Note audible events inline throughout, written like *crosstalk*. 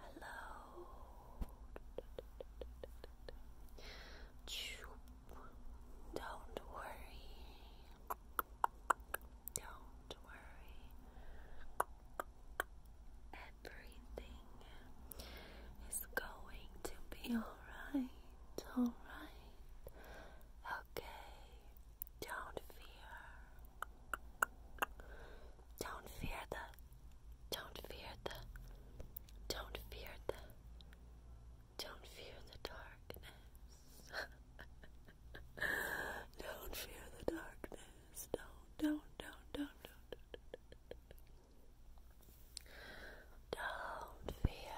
Hello. Don't worry. Don't worry. Everything is going to be alright. Alright. Okay, don't fear. Don't fear the. Don't fear the. Don't fear the. Don't fear the darkness. *laughs* don't fear the darkness. Don't, don't, don't, don't, don't, don't. fear.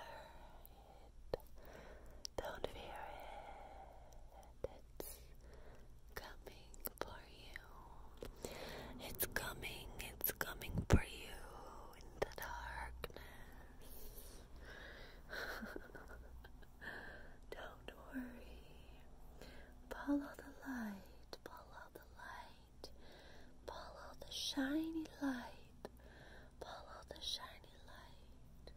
Don't fear it. It's coming for you. It's coming. It's coming for you in the darkness. *laughs* Don't worry. Follow the light. Follow the light. Follow the shiny light. Follow the shiny light.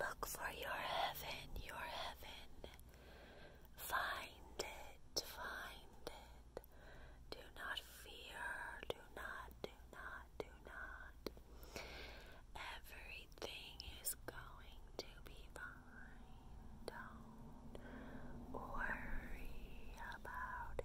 Look for your heaven, your heaven. Find it, find it. Do not fear, do not, do not, do not. Everything is going to be fine. Don't worry about it.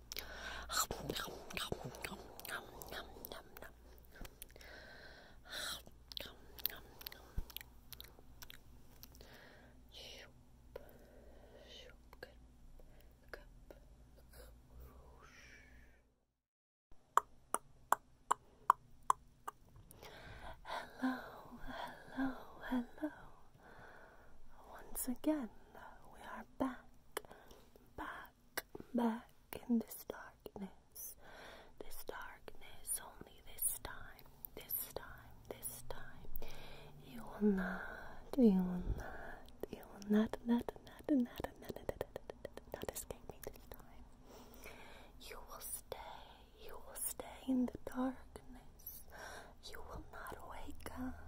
Hello, hello, hello. Once again, we are back back, back in this darkness. This darkness, only this time, this time, this time. You will not, you will not, you will not, not, not, not, not, not, not, not escape me this time. You will stay, you will stay in the darkness. You will not wake up.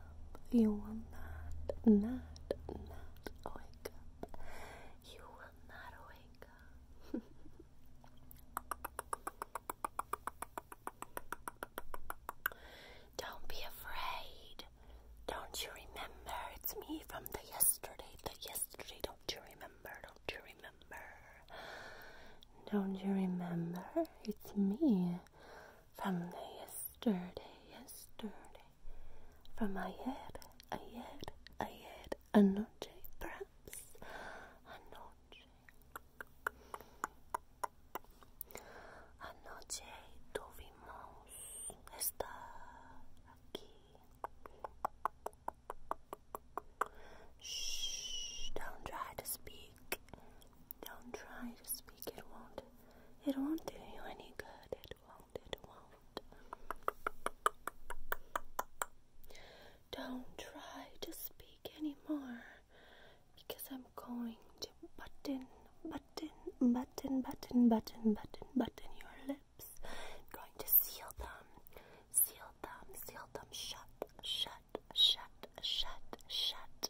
You will not, not, not wake up. You will not wake up. *laughs* Don't be afraid. Don't you remember? It's me from the yesterday, the yesterday. Don't you remember? Don't you remember? Don't you remember? It's me from the yesterday, yesterday, from ayer, ayer, ayer, anoche, perhaps, anoche. Anoche tuvimos estar aquí. Shh, don't try to speak. Don't try to speak, it won't. It won't do you any good. It won't, it won't. Don't try to speak anymore because I'm going to button, button, button, button, button, button, button your lips. I'm going to seal them, seal them, seal them shut, shut, shut, shut, shut,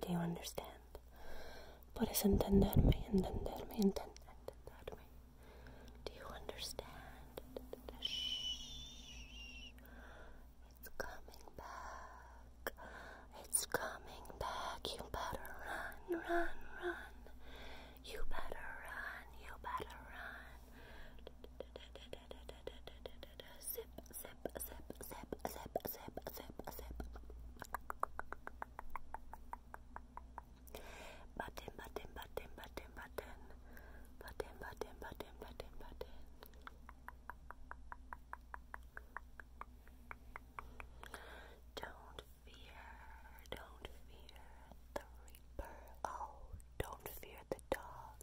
Do you understand? Puedes entenderme, entenderme, entenderme. Do you understand? It's coming back. It's coming back. You better run, run, run. You better run, you better run zip, zip, zip, zip, zip, zip, zip. Button, button, button, button, button. Button, button, button, button, button. Don't fear, don't fear the reaper. Oh, don't fear the dog.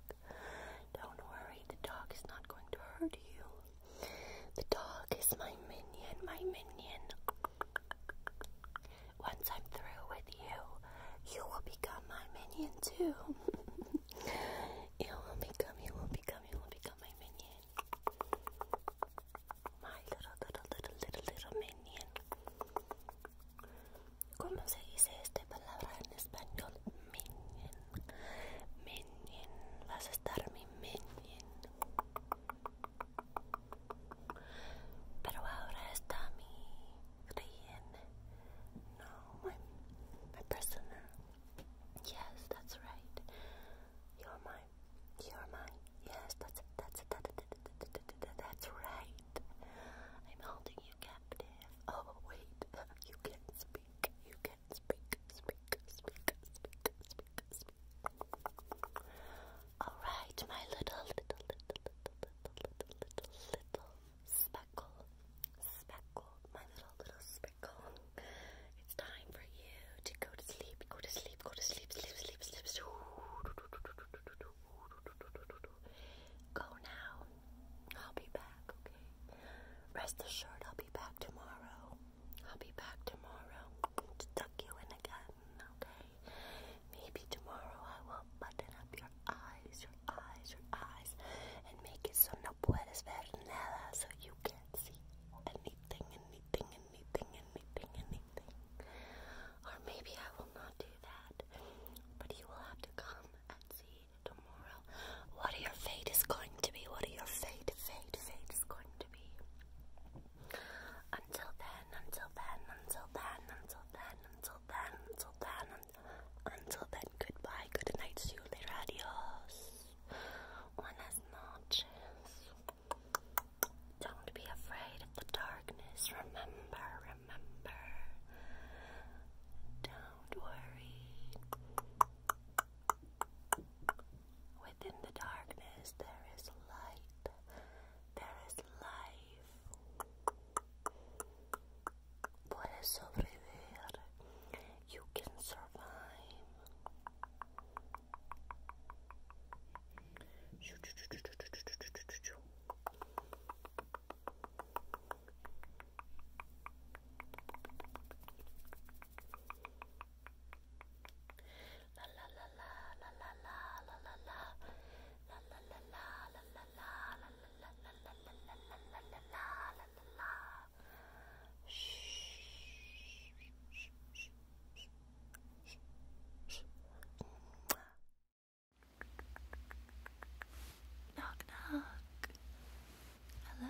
Don't worry, the dog is not going to hurt you. The dog is my minion, my minion. Once I'm through with you, you will become my minion too. *laughs* you will become, you will become, you will become my minion. My little, little, little, little, little minion. ¿Cómo se dice esta palabra en español? Minion. Minion. Vas a estar minion minion. Pero ahora está mi Rien. No, my, my prisoner. Yes, that's right. You're mine. You're mine. Yes, that's That's That, that, that, that, that, that's right. I'm holding you captive. Oh, wait. *laughs* You can't speak. You speak, speak, speak, speak, speak, speak. Alright, my little, little, little, little, little, little, little, little speckle, speckle, my little, little speckle. It's time for you to go to sleep, go to sleep, go to sleep, sleep, sleep, sleep, sleep. Go now. I'll be back, okay? Rest assured, I'll be back tomorrow. I'll be back tomorrow to tuck you in again, okay? Maybe tomorrow I will button up your eyes, your eyes, your eyes, and make it so no puedes ver nada, so you can't see anything, anything, anything, anything, anything. Or maybe I will not do that, but you will have to come and see tomorrow what your fate is going to be, what your fate, fate, fate is going to until then, until then, until then, until then, until then, until then, until then, goodbye, good night, see you later, adios. Don't be afraid of the darkness, remember, remember. Don't worry. Within the darkness, there is light, there is life. you can survive. La la la la la la la la la la la la la la la la la Knock knock. Hello.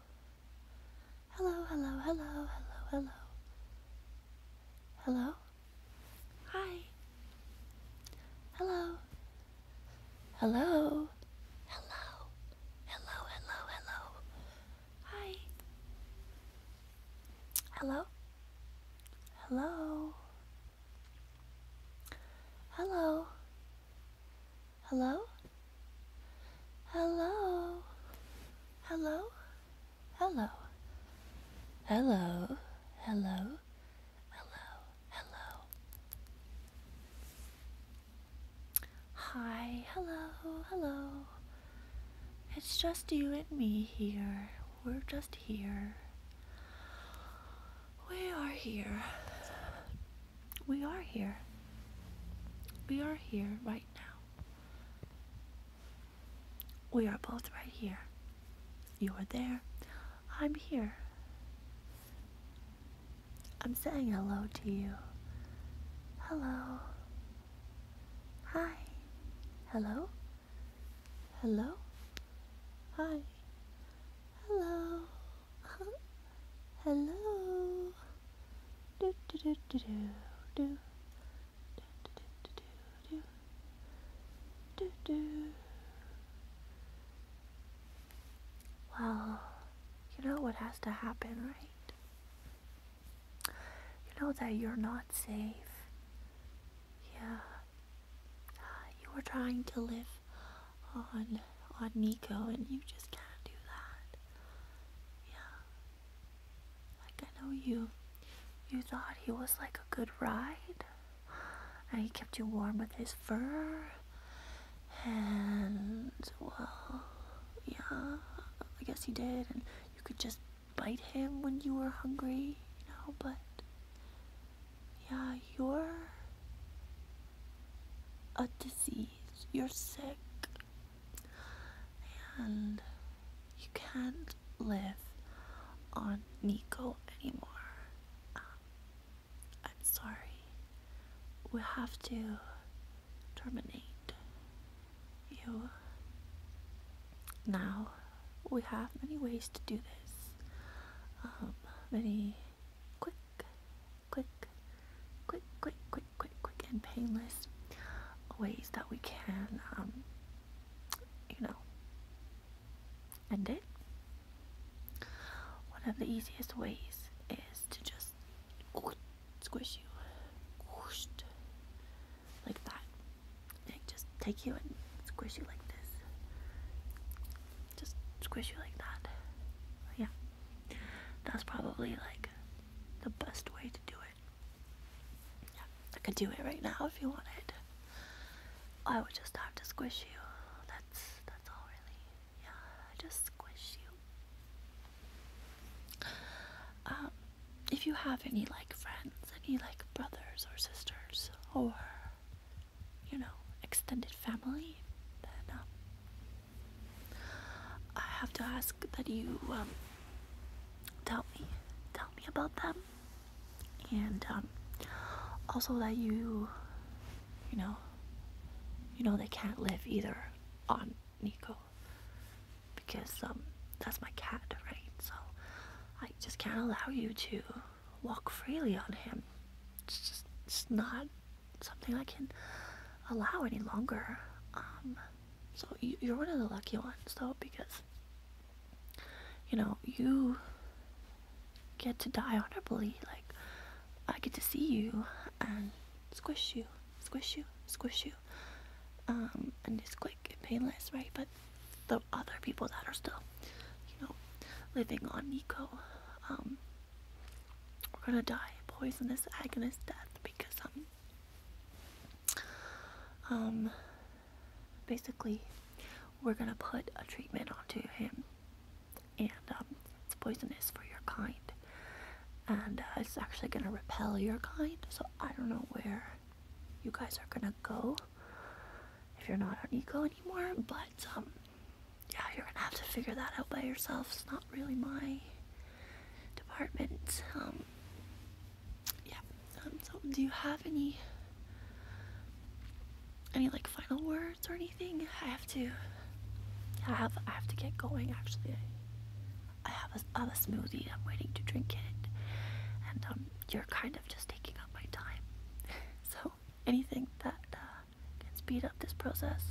Hello, hello, hello, hello, hello. Hello? Hi. Hello. Hello. Hello. Hello, hello, hello. Hi. Hello. Hello. Hello. Hello. Hello. Hello. Hello. Hello. Hello. Hello. Hello. Hi. Hello. Hello. It's just you and me here. We're just here. We are here. We are here. We are here right now. We are both right here. You are there. I'm here. I'm saying hello to you. Hello. Hi. Hello. Hello. Hi. Hello. Hello. Do do do do do. Well, you know what has to happen, right? You know that you're not safe. Yeah. Ah, you were trying to live on on Nico and you just can't do that. Yeah. Like I know you you thought he was like a good ride and he kept you warm with his fur and well yeah I guess he did and you could just bite him when you were hungry, you know, but yeah, you're a disease. You're sick. And you can't live on Nico anymore. Um, I'm sorry. We have to terminate you. Now, we have many ways to do this. Um, many quick, quick, quick, quick, quick quick, quick, and painless ways that we can, um, you know, end it. One of the easiest ways is to just squish you like that. They just take you and squish you like this. Just squish you like that. Yeah. That's probably like the best way to do it. I could do it right now if you wanted. I would just have to squish you. That's that's all really. Yeah, just squish you. Um, if you have any like friends, any like brothers or sisters, or you know extended family, then um, I have to ask that you um, tell me tell me about them and um, also that you you know you know they can't live either on Nico because um, that's my cat right so I just can't allow you to walk freely on him it's just it's not something I can allow any longer um, so you, you're one of the lucky ones, though, because you know you get to die honorably. Like I get to see you and squish you, squish you, squish you. Um, and it's quick and painless, right? But the other people that are still, you know, living on Nico, um, we're gonna die a poisonous, agonist death because I'm. Um, um, basically, we're gonna put a treatment onto him, and um, it's poisonous for your kind, and uh, it's actually gonna repel your kind. So I don't know where you guys are gonna go if you're not on eco anymore, but um, yeah, you're gonna have to figure that out by yourself. It's not really my department. Um, yeah. Um, so, do you have any any like final words or anything? I have to. I have I have to get going. Actually, I, have a, I have a smoothie. I'm waiting to drink it, and um, you're kind of just taking up my time. *laughs* so, anything that uh, can speed up this process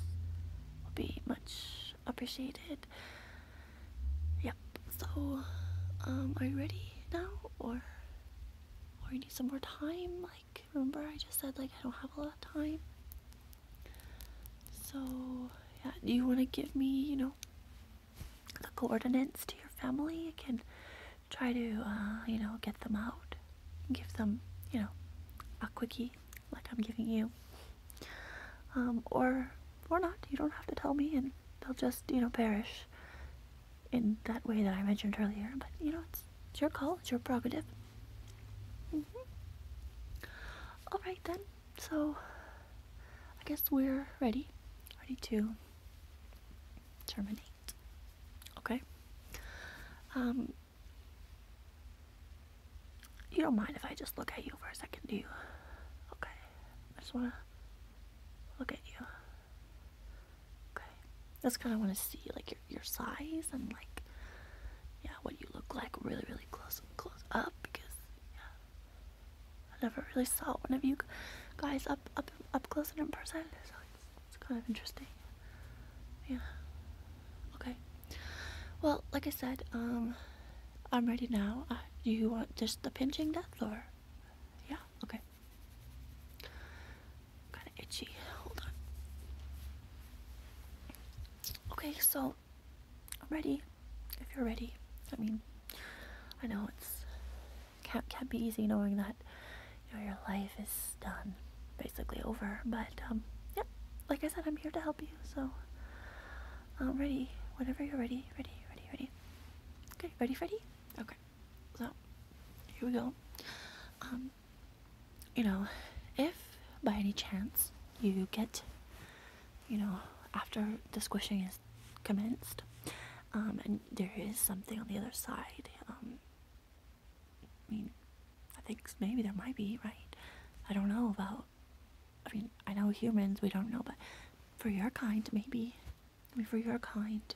will be much appreciated. Yep. So, um, are you ready now, or or you need some more time? Like, remember I just said like I don't have a lot of time. So, yeah. Do you want to give me, you know, the coordinates to your family? I can try to, uh, you know, get them out, give them, you know, a quickie like I'm giving you. Um, or or not. You don't have to tell me, and they'll just, you know, perish in that way that I mentioned earlier. But, you know, it's, your call, it's your prerogative. Mm-hmm. Alright then, so I guess we're ready, ready to terminate. Okay? Um, you don't mind if I just look at you for a second, do you? Okay. I just want to Look at you. Okay. That's kind of want to see like your your size and like yeah what you look like really really close close up because yeah I never really saw one of you guys up up up close and in person so it's, kind of interesting. Yeah. Okay. Well, like I said, um, I'm ready now. Uh, do you want just the pinching death or? Yeah, okay. Kind of itchy. Hold on. Okay, so I'm ready. If you're ready, I mean, I know it's can't can't be easy knowing that you know, your life is done, basically over. But um, yeah, like I said, I'm here to help you. So I'm um, ready. Whenever you're ready, ready, ready, ready. Okay, ready, Freddy? Okay, so here we go. Um, you know, if by any chance you get, you know, after the squishing is commenced, um, and there is something on the other side, um, I mean, I think maybe there might be, right? I don't know about, I mean, I know humans, we don't know, but for your kind, maybe for your kind,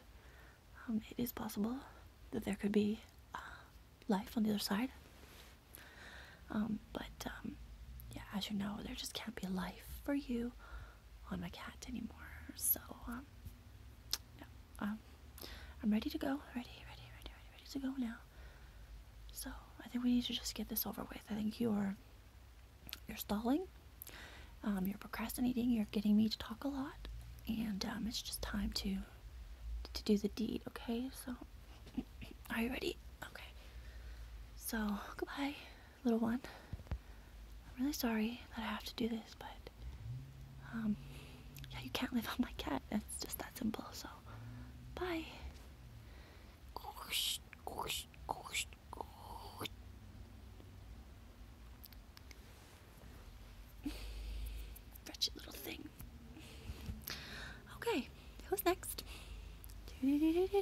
um, it is possible that there could be uh, life on the other side. Um, but um, yeah, as you know, there just can't be life for you on my cat anymore. So um, no, um, I'm ready to go. Ready, ready, ready, ready, ready to go now. So I think we need to just get this over with. I think you are you're stalling, um, you're procrastinating, you're getting me to talk a lot, and um, it's just time to to do the deed. Okay, so *clears throat* are you ready? Okay. So goodbye, little one. I'm really sorry that I have to do this, but um, yeah, you can't live on my cat. That's just that simple. So bye. Wretched little thing. Okay, who's next? *laughs*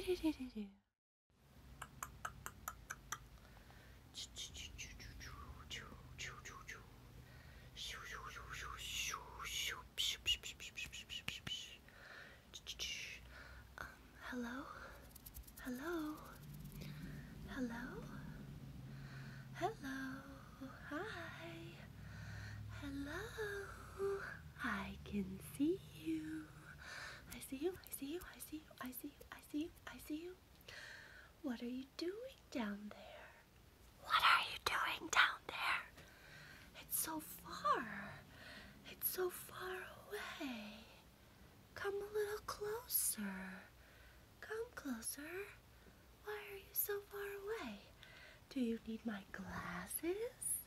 Um, hello, hello, hello, hello, hi, hello. I can see you. I see you, I see you, I see you, I see you, I see you, What are you doing down there? What are you doing down there? It's so far. It's so far away. Come a little closer. Come closer. Why are you so far away? Do you need my glasses?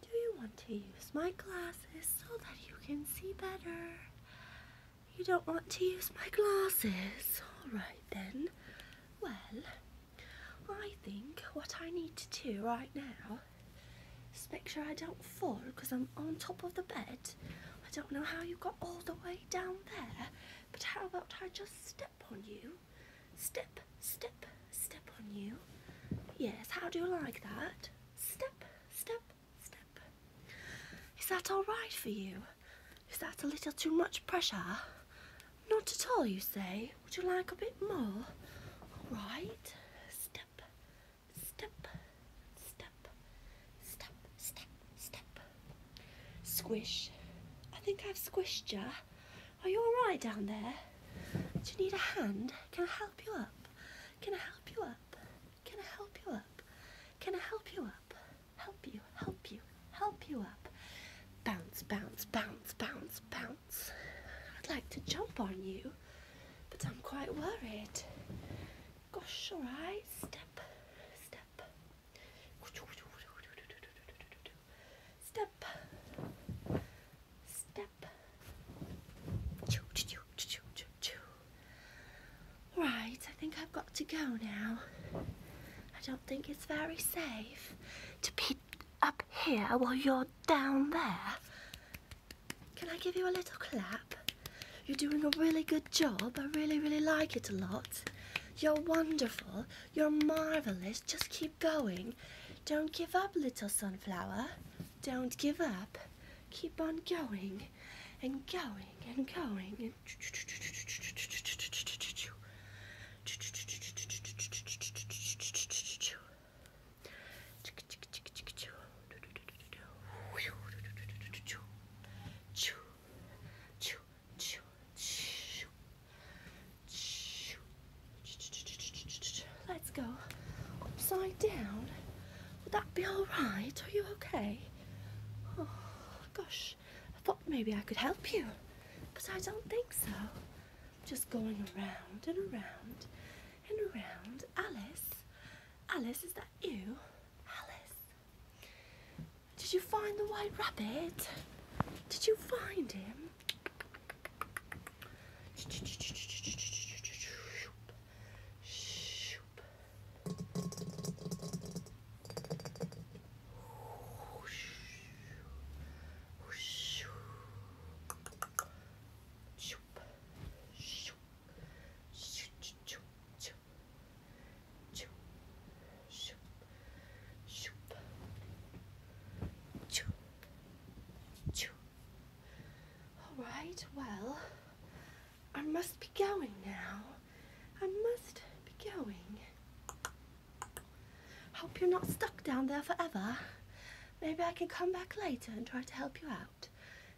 Do you want to use my glasses so that you can see better? You don't want to use my glasses. Alright then. Well, I think what I need to do right now just make sure I don't fall because I'm on top of the bed. I don't know how you got all the way down there, but how about I just step on you? Step, step, step on you. Yes, how do you like that? Step, step, step. Is that alright for you? Is that a little too much pressure? Not at all, you say? Would you like a bit more? Alright. Step, Step, step, step, step, step. Squish. I think I've squished you. Are you all right down there? Do you need a hand? Can I help you up? Can I help you up? Can I help you up? Can I help you up? Help you, help you, help you up. Bounce, bounce, bounce, bounce, bounce. I'd like to jump on you, but I'm quite worried. Gosh, all right. Step, step. Step. Step. Choo, Right, I think I've got to go now. I don't think it's very safe to be up here while you're down there. Can I give you a little clap? You're doing a really good job. I really, really like it a lot. You're wonderful. You're marvelous. Just keep going. Don't give up, little sunflower. Don't give up. Keep on going and going and going. And Let's go upside down. Would that be all right? Are you okay? Oh gosh, I thought maybe I could help you, but I don't think so. I'm just going around and around and around. Alice, Alice, is that you, Alice? Did you find the white rabbit? Did you find him? All right, well, I must be going now. I must be going. Hope you're not stuck down there forever. Maybe I can come back later and try to help you out out,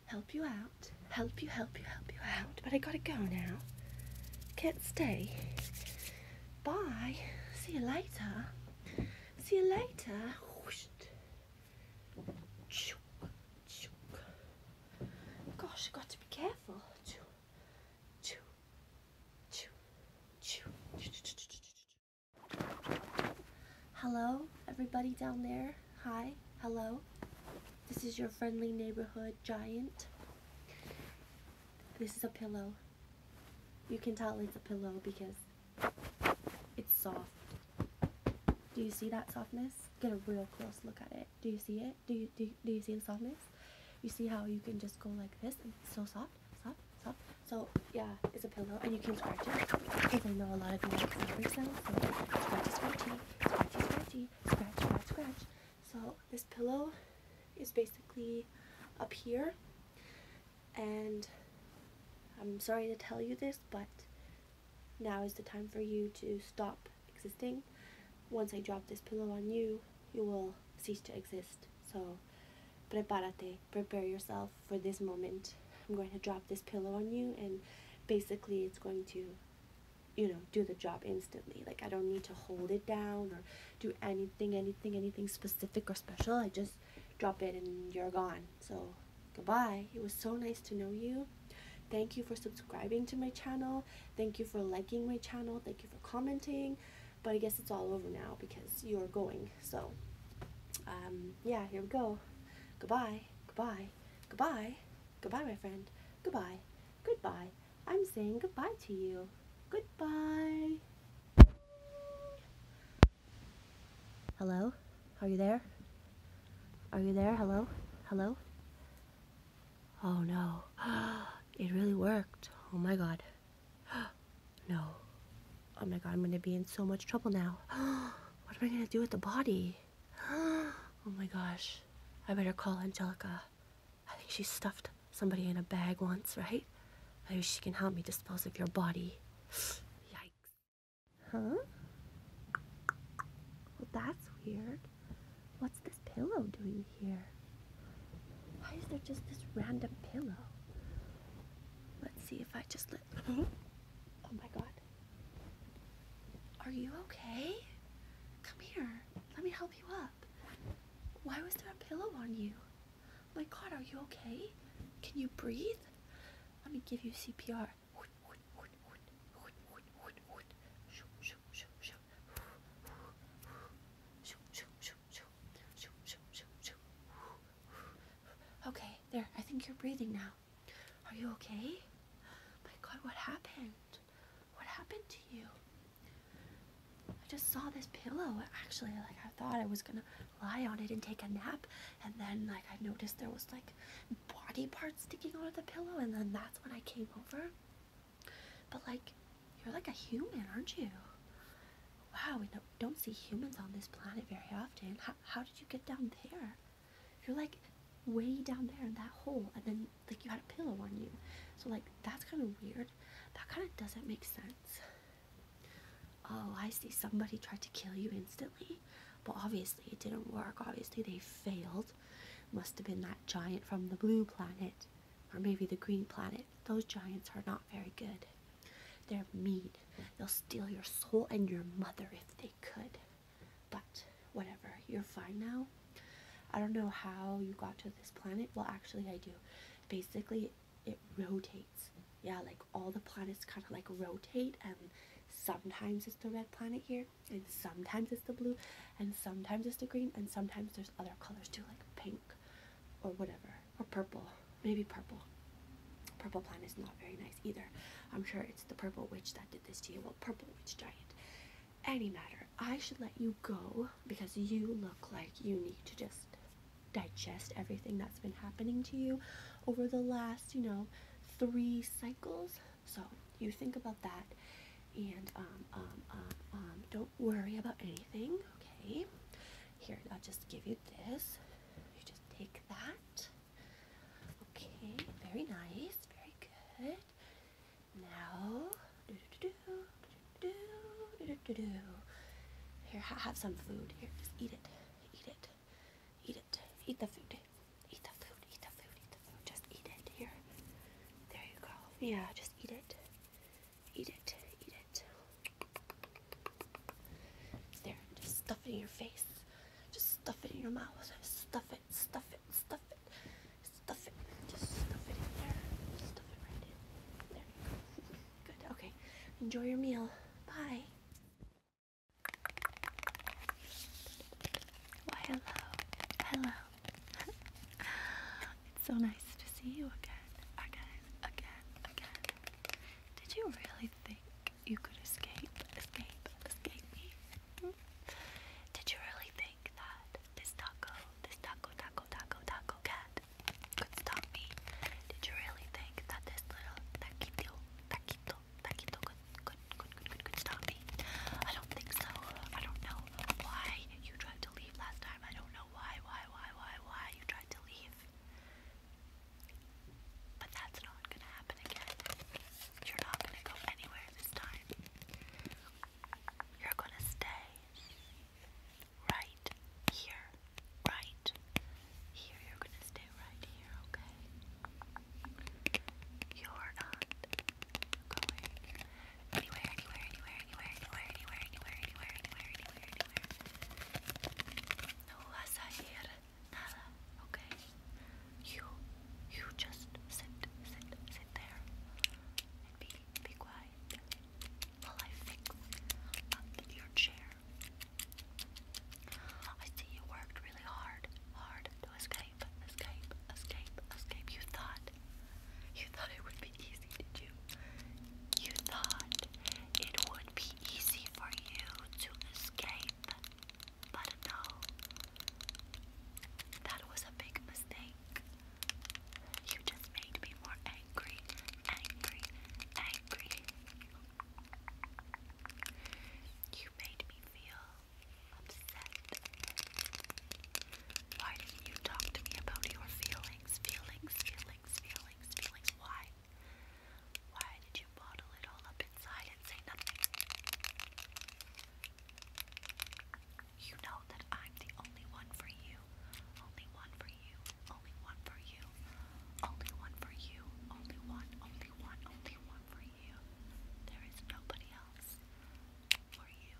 help you out, help you, help you, help you out. But I gotta go now. Can't stay. Bye. See you later. See you later. Gosh, I've got to be careful. Hello, everybody down there. Hi, hello. This is your friendly neighborhood giant. This is a pillow. You can tell it's a pillow because it's soft. Do you see that softness? Get a real close look at it. Do you see it? Do you, do, do you see the softness? You see how you can just go like this and it's so soft, soft, soft. So yeah, it's a pillow and you can scratch it because I know a lot of you like fabric sounds, so scratchy, scratchy scratchy, scratchy, scratch, scratch, scratch. So this pillow is basically up here and I'm sorry to tell you this, but now is the time for you to stop existing. Once I drop this pillow on you, you will cease to exist. So, prepárate, prepare yourself for this moment. I'm going to drop this pillow on you and basically it's going to you know, do the job instantly. Like I don't need to hold it down or do anything, anything, anything specific or special. I just drop it and you're gone. So goodbye. It was so nice to know you. Thank you for subscribing to my channel. Thank you for liking my channel. Thank you for commenting. But I guess it's all over now because you're going. So um, yeah, here we go. Goodbye. Goodbye. Goodbye. Goodbye, my friend. Goodbye. Goodbye. I'm saying goodbye to you. Goodbye. Hello? Are you there? Are you there? Hello? Hello? Oh no. *gasps* It really worked. Oh my god. *gasps* No. Oh my god, I'm gonna be in so much trouble now. *gasps* What am I gonna do with the body? *gasps* oh my gosh. I better call Angelica. I think she stuffed somebody in a bag once, right? Maybe she can help me dispose of your body. *gasps* Yikes. Huh? Well, that's weird. What's this pillow doing here? Why is there just this random pillow? Let's see if I just let... *laughs* oh my god. Are you okay? Come here. Let me help you up. Why was there a pillow on you? My God, are you okay? Can you breathe? Let me give you CPR. Okay, there. I think you're breathing now. Are you okay? My God, what happened? What happened to you? I just saw this pillow actually. Like, I thought I was gonna lie on it and take a nap, and then, like, I noticed there was like body parts sticking out of the pillow, and then that's when I came over. But, like, you're like a human, aren't you? Wow, we don't, don't see humans on this planet very often. How, how did you get down there? You're like way down there in that hole, and then like you had a pillow on you. So like that's kind of weird. That kind of doesn't make sense. Oh, I see. Somebody tried to kill you instantly, but obviously it didn't work. Obviously they failed. Must have been that giant from the blue planet, or maybe the green planet. Those giants are not very good. They're mean. They'll steal your soul and your mother if they could. But whatever, you're fine now. I don't know how you got to this planet. Well, actually, I do. Basically, it rotates. Yeah, like all the planets kind of like rotate, and sometimes it's the red planet here, and sometimes it's the blue, and sometimes it's the green, and sometimes there's other colors too, like pink or whatever, or purple. Maybe purple. Purple planet is not very nice either. I'm sure it's the purple witch that did this to you. Well, purple witch giant any matter, I should let you go because you look like you need to just digest everything that's been happening to you over the last, you know, three cycles. So you think about that and um, um, um, um, don't worry about anything, okay? Here, I'll just give you this. You just take that. Okay, very nice, very good. Now, do do do do do do do. do do do. Here, ha have some food. Here, just eat it. Eat it. Eat it. Eat the food. Eat the food. Eat the food. Eat the food. Just eat it. Here. There you go. Yeah, just eat it. Eat it. Eat it. There. Just stuff it in your face. Just stuff it in your mouth. Stuff stuff it, stuff it, stuff it. Just stuff it in there. Stuff it right in. There you go. *laughs* Good. Okay. Enjoy your meal. Bye. Why hello. Hello. *laughs* it's so nice to see you again. Again. Again. Again. Did you really think you could escape? Escape. Escape me. Hmm? Did you really think like that. This taco, this taco, taco, taco, taco cat could stop me. Did you really think that this little taquito, taquito, taquito could, could, could, could stop me? I don't think so. I don't know why you tried to leave last time. I don't know why, why, why, why, why you tried to leave. But that's not gonna happen again. You're not gonna go anywhere this time. You're going to stay right here. Right here. You're going to stay right here, okay? You're not going anywhere, anywhere, anywhere, anywhere, anywhere, anywhere, anywhere, anywhere, anywhere, anywhere, anywhere. No vas a ir nada, okay? You, you just sit, sit, sit there and be, be quiet while I fix your chair. I see you worked really hard, hard to escape, escape, escape, escape. You thought, you thought it would be easy, did you? You thought it would be easy for you to escape, but no, that was a big mistake. You just made me more angry, angry, angry. You made me feel upset. Why didn't you talk to me about your feelings, feelings, feelings, feelings, feelings? Why? Why did you bottle it all up inside and say nothing? You know that I'm the only one for you. Only one for you. Only one for you. Only one for you. Only one. Only one. Only one for you. There is nobody else for you.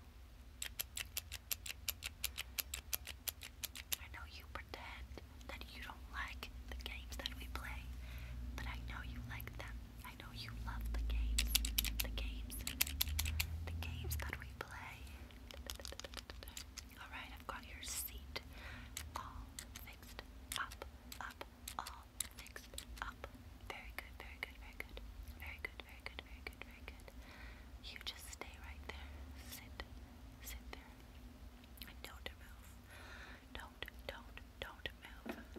I know you pretend that you don't like the games that we play, but I know you like them I know you love the games. The games. The games that we play. Alright, I've got your seat all fixed up, up, all fixed up. Very good, very good, very good. Very good, very good, very good, very good. You just stay right there. Sit, sit there. don't move. Don't, don't, don't move.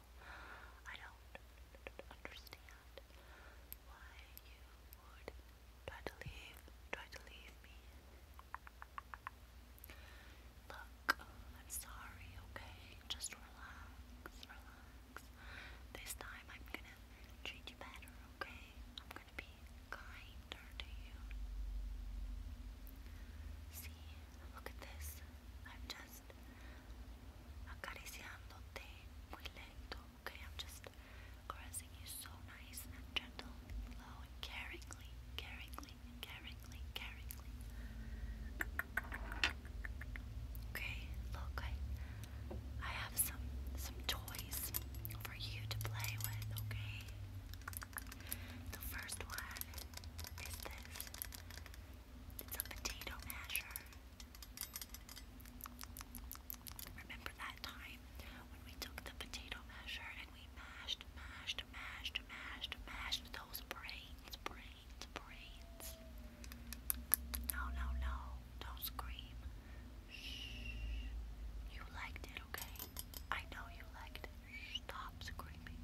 I don't understand why you would try to leave, try to leave me. Look, I'm sorry, okay? Just relax, relax. This time I'm gonna treat you better, okay? I'm gonna be kinder to you. See, look at this. I've just acariciándote muy lento. Okay, I'm just caressing you so nice gentle, slow and caringly, caringly, caringly, Okay, look, I have some some toys for you to play with. Okay, the first one is this. It's a potato masher. Remember that time when we took the potato measure and we mashed, mashed, mashed, mashed, mashed those brains, brains, brains? No, no, no. Don't scream. Shh. You liked it, okay? I know you liked it. Stop screaming.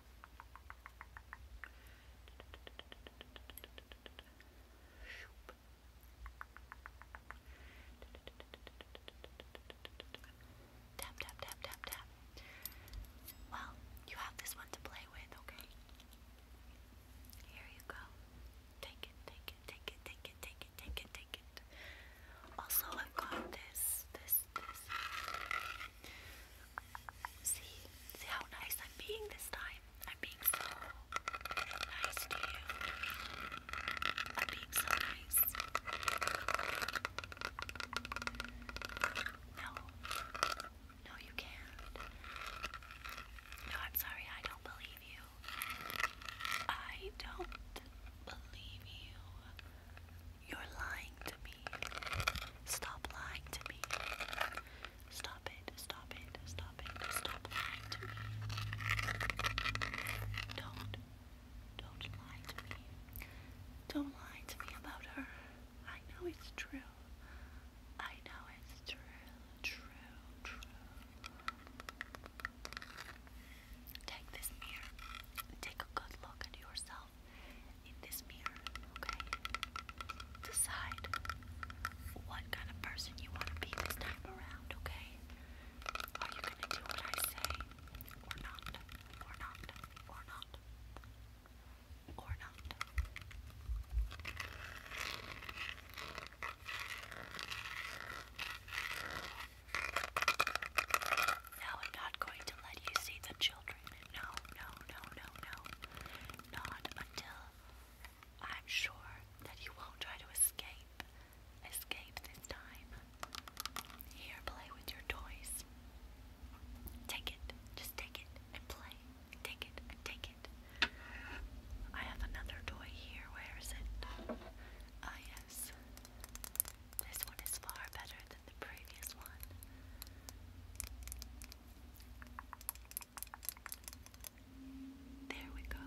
Tap, tap, tap, tap, tap. Well, you have this one to play with, okay? Here you go. Take it, take it, take it, take it, take it, take it, take it. Also, I've got this, this, this. See, see how nice I'm being this time. I'm being so nice to you. I'm being so nice. No, no, you can't. No, I'm sorry, I don't believe you. I don't believe you. You're lying to me. Stop lying to me. Stop it, stop it, stop it, stop lying to me. Don't, don't lie to me. Don't lie to me about her. I know it's true. I know it's true, true, true. Take this mirror. Take a good look at yourself in this mirror, okay? Decide what kind of person you want to be this time around, okay? Are you going to do what I say or not? Or not? Or not? Or not? Now I'm not going to let you see the children no, no, no, no, no. Not until I'm sure that you won't try to escape. Escape this time. Here, play with your toys. Take it. Just take it and play. Take it take it. I have another toy here. Where is it? Ah, yes. This one is far better than the previous one. There we go.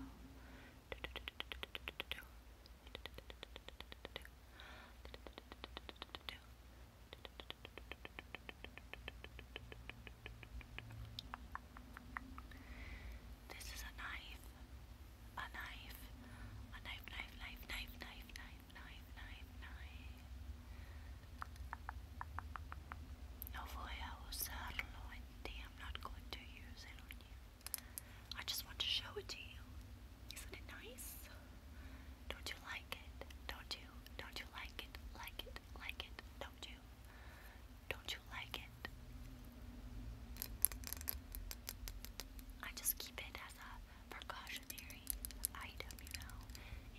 This is a knife, a knife, a knife, knife, knife, knife, knife, knife, knife, knife. I'm not going to use it on you. I just want to show it to you. Isn't it nice? Don't you like it? Don't you? Don't you like it? Like it? Like it? Don't you? Don't you like it? I just keep it as a precautionary item, you know,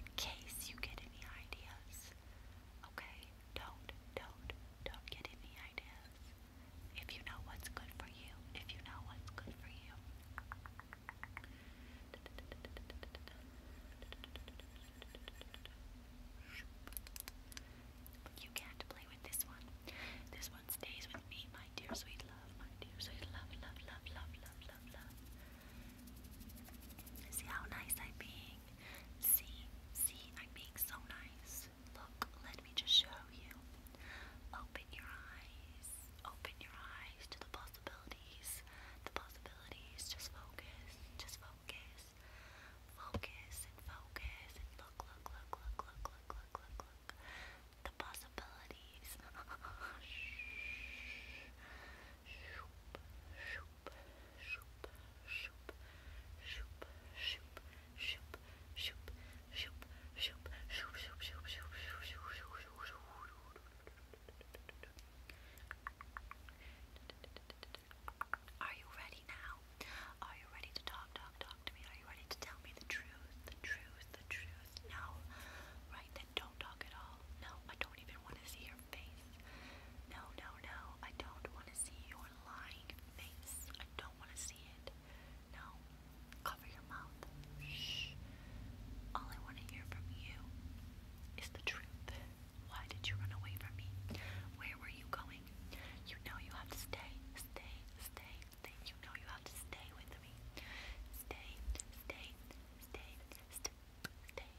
in case you get any ideas. Okay? Don't, don't, don't get any ideas. If you know what's good for you, if you know what's good for you. You can't play with this one. This one stays with me, my dear sweet love, my dear sweet love, love, love, love, love, love, love. See how nice I'm being. See, see, I'm being so nice. Look, let me just show you. Open your eyes. Open your eyes to the possibilities. The possibilities. Just focus. Just focus. Focus and focus and look, look, look, look, look, look, look, look, look. The possibilities. Shoop, *laughs* shoop, shoop, shoop, shoop, shoop, shoop, shoop, shoop, shoop, shoop, shoop, shoop, shoop, shoop, shoop, shoop, shoop. Are you ready now? Are you ready to talk, talk, talk to me? Are you ready to tell me the truth, the truth, the truth? No, right then, don't talk at all. No, I don't even want to see your face. No, no, no. I don't want to see your lying face. I don't want to see it. No. Cover your mouth. Shh. All I want to hear from you is the truth. Why did you run away from me? Where were you going? You know you have to stay. Stay, stay, You know you have to stay with me. Stay, stay, stay, stay, stay,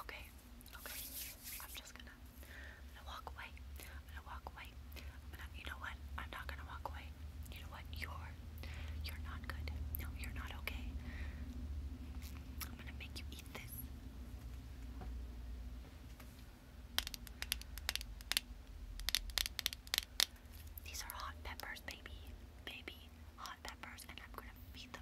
Okay, okay. I'm just gonna, gonna walk away. gonna walk away. i you know what? I'm not gonna walk away. You know what? You're, you're not good. No, you're not okay. I'm gonna make you eat this. These are hot peppers, baby, baby, hot peppers, and I'm gonna feed them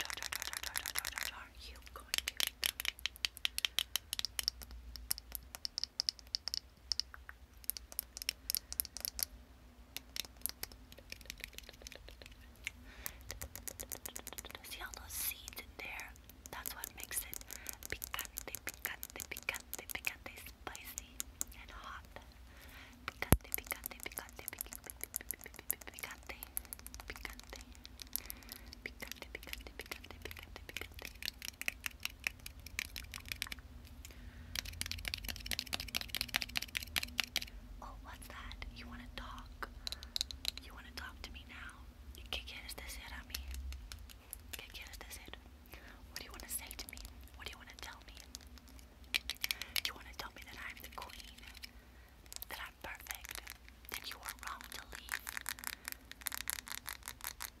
Jar, You going to See all those seeds in there? That's what makes it picante, picante, picante, picante, spicy and hot. Picante, picante, picante, picante, picante, picante, picante, picante, picante, picante, picante. Oh, what's that? You wanna talk? You wanna talk to me now? ¿Qué quieres decir a mí? ¿Qué quieres decir? What do you wanna say to me? What do you wanna tell me? You wanna tell me that I'm the queen? that I'm perfect, then you are wrong to leave.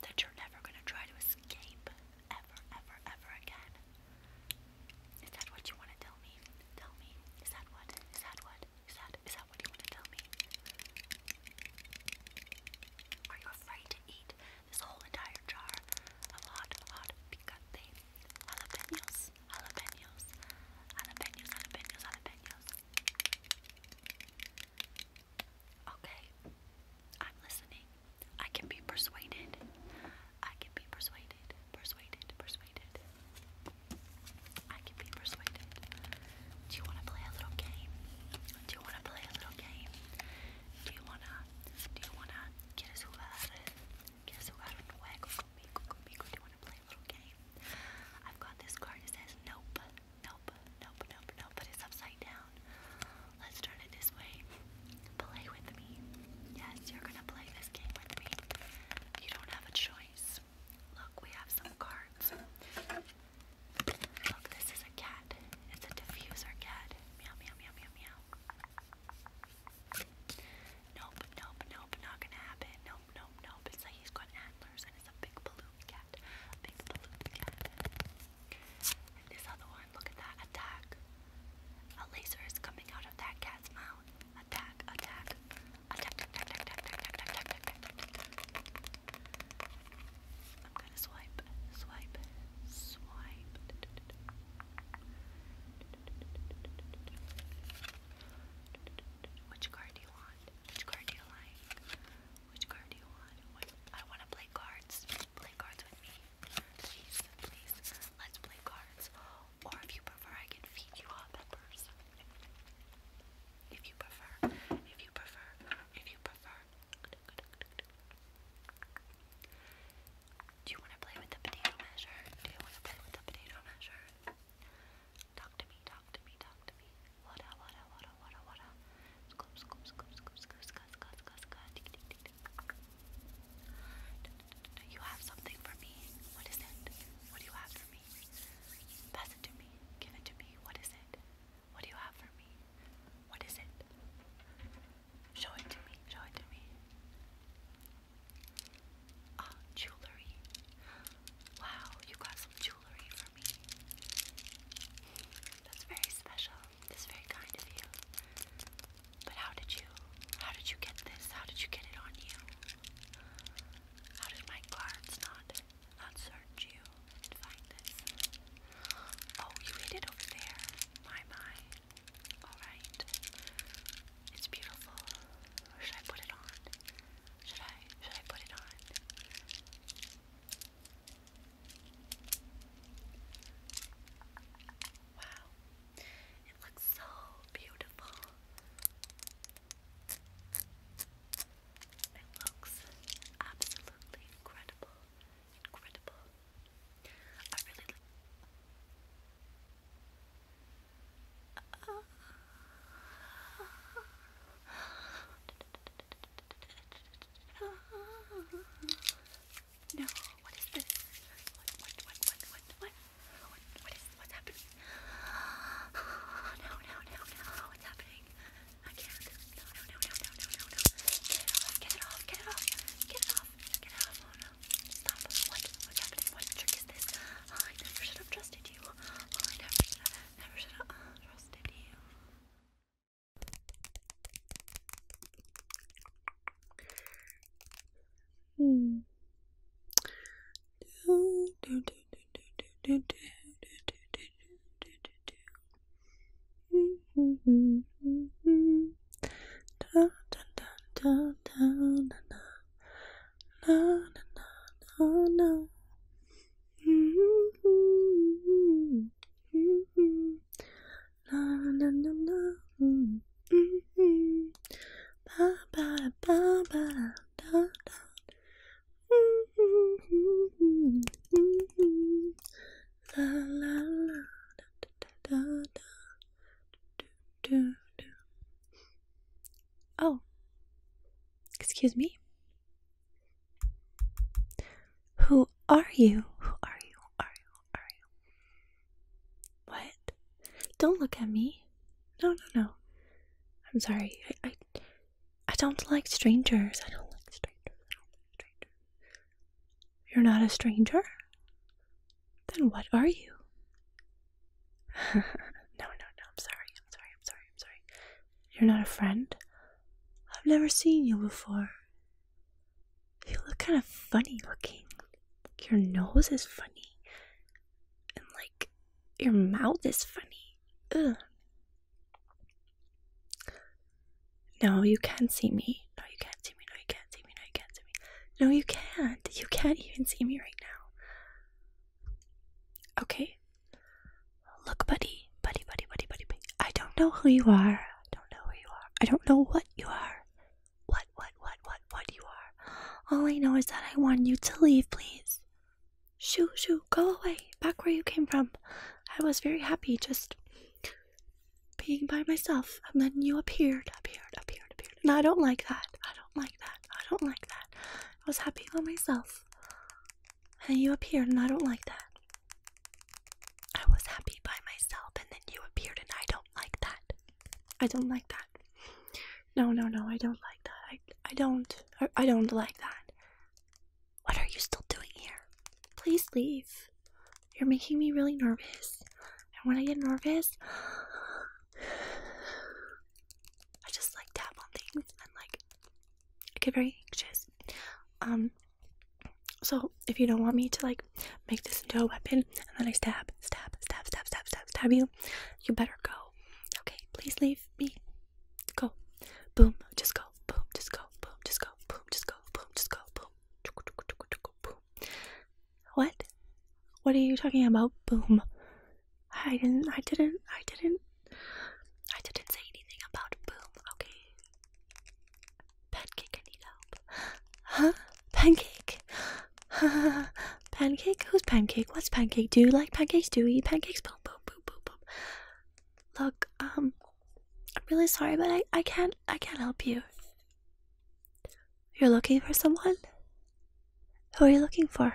That you're never going to try to escape ever, ever, ever again. Is that what you want to tell me? Tell me. Is that what? Is that what? Is that is that what you want to tell me? Are you afraid to eat this whole entire jar of hot, hot picante jalapenos, jalapenos, jalapenos, jalapenos, jalapenos, Okay, I'm listening. I can be persuaded. I can be persuaded. Persuaded. Persuaded. I can be persuaded. Do you want to play a little game? Do you want to play a little game? Do you wanna? Do you wanna? ¿Quieres jugar? ¿Quieres jugar un juego conmigo? Conmigo? Do you wanna play little game. I've got this card that says nope, nope, nope, nope, nope, it's upside down. Let's turn it this way. Play with me. Yes, you're gonna play this game with me. You don't have a choice. Look, we have some cards. Look, this is a cat. It's a diffuser cat. Meow, meow, meow, meow, meow. Nope, nope, nope, not gonna happen. Nope, nope, nope. It's like he's got this other one, look at that. Attack. A laser is coming out of that cat's mouth. Attack, attack. Attack, attack, attack, attack, attack, attack, attack, attack. I'm gonna swipe, swipe, swipe. Which card do you want? Which card do you like? Which card do you want? I want to play cards. Play cards with me. Please, please. Let's play cards. Or if you prefer, I can feed you hot peppers. If you prefer. If you prefer. If you prefer. Do you want to play with the potato measure? Do you want to play with the potato measure? Talk to me, talk to me, talk to me. Wada, wada, wada, wada, wada. Scoop, scoop, scoop, scoop, scoop, scoop, scoop, scoop, scoop. Do you have something for me? What is it? What do you have for me? Pass it to me. Give it to me. What is it? What do you have for me? What is it? Show it to me. Show it to me. Ah, jewelry. Wow, you got some jewelry for me. That's very special. That's very kind of you. But how did you how did you get this? How did you get it on you? How did my guards not not search you and find this? Oh, you hid it over there. My my. Alright. It's beautiful. should I put it on? Should I should I put it on? Wow. It looks so beautiful. It looks absolutely incredible. Incredible. I really. Uh, no, what is this? What, what, what, what, what, what? What, what is, what's happening? No, no, no, no, what's happening? I can't. No, no, no, no, no, no, no, no. Get it off, get it off, get it off, get it off. Oh no, stop. What, what's happening? What trick is this? I never should have trusted you. I never should have. Never should have uh, trusted you. Hmm. Do, do, do, do, do, do, do, do, do, do, do, do. Mm -hmm, mm -hmm. Da, da, da, da, da, na, na, na, na, na, na, na. Oh, excuse me. Who are you? Who are you? are you? are you? What? Don't look at me. No, no, no. I'm sorry. I, I, don't like strangers. I don't like strangers. I don't like strangers. You're not a stranger? Then what are you? *laughs* no, no, no. I'm sorry. I'm sorry. I'm sorry. I'm sorry. You're not a friend? I've never seen you before. You look kind of funny looking. your nose is funny. And like your mouth is funny. No, you can't see me. No, you can't see me. No, you can't see me. No, you can't see me. No, you can't. You can't even see me right now. Okay, Look, buddy, buddy, buddy, buddy, buddy, buddy. I don't know who you are. I don't know who you are. I don't know what you are. What, what, what, what, what you are. All I know is that I want you to leave, please. Shoo, shoo, go away. Back where you came from. I was very happy just being by myself, and then you appeared, appeared, appeared, appeared. And I don't like that. I don't like that. I don't like that. I was happy by myself. And you appeared, and I don't like that. I was happy by myself, and then you appeared, and I don't like that. I don't like that. No, no, no, I don't like that. I, I don't. I, don't like that. What are you still doing here? Please leave. You're making me really nervous. And when I get nervous, *sighs* I just like tap on things and like I get very anxious. Um, so if you don't want me to like make this into a weapon and then I stab, stab, stab, stab, stab, stab, stab you, you better go. Okay, please leave me. Go. Boom, just go. Boom, just go. Boom, just go. Boom, just go. Boom, just go. Boom. What? What are you talking about? Boom. I didn't. I didn't. I didn't. I didn't say anything about boom. Okay. Pancake, I need help. Huh? Pancake. *laughs* pancake. Who's pancake? What's pancake? Do you like pancakes? Do you eat pancakes? Boom, boom, boom, boom, boom. Look, um, I'm really sorry, but I, I can't. I can't help you. You're looking for someone. Who are you looking for?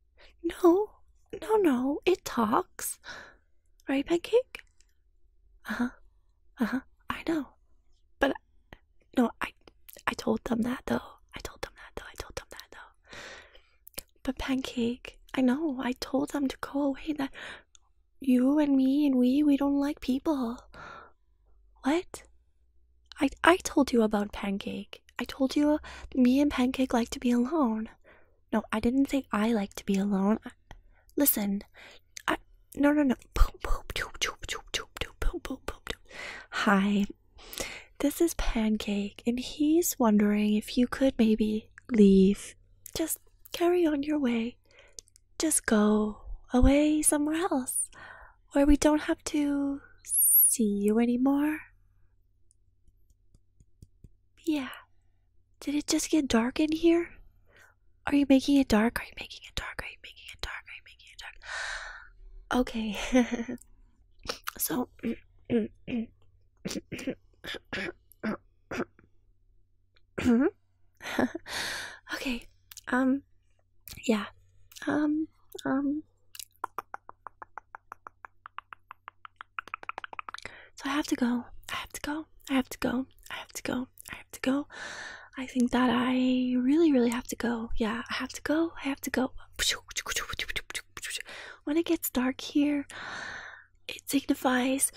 No, no, no, it talks. Right, Pancake? Uh huh. Uh huh. I know. But, no, I, I told them that though. I told them that though. I told them that though. But, Pancake, I know. I told them to go away that you and me and we, we don't like people. What? I I told you about Pancake. I told you me and Pancake like to be alone. No, I didn't say I like to be alone. listen, I no no no. Hi, this is Pancake, and he's wondering if you could maybe leave. Just carry on your way. Just go away somewhere else where we don't have to see you anymore. Yeah. Did it just get dark in here? Are you making it dark? Are you making it dark? Are you making it dark? Are you making it dark? Okay. so. okay. Um. Yeah. Um. Um. So I have to go. I have to go. I have to go. I have to go. I have to go. I think that I really, really have to go. Yeah, I have to go. I have to go. When it gets dark here, it signifies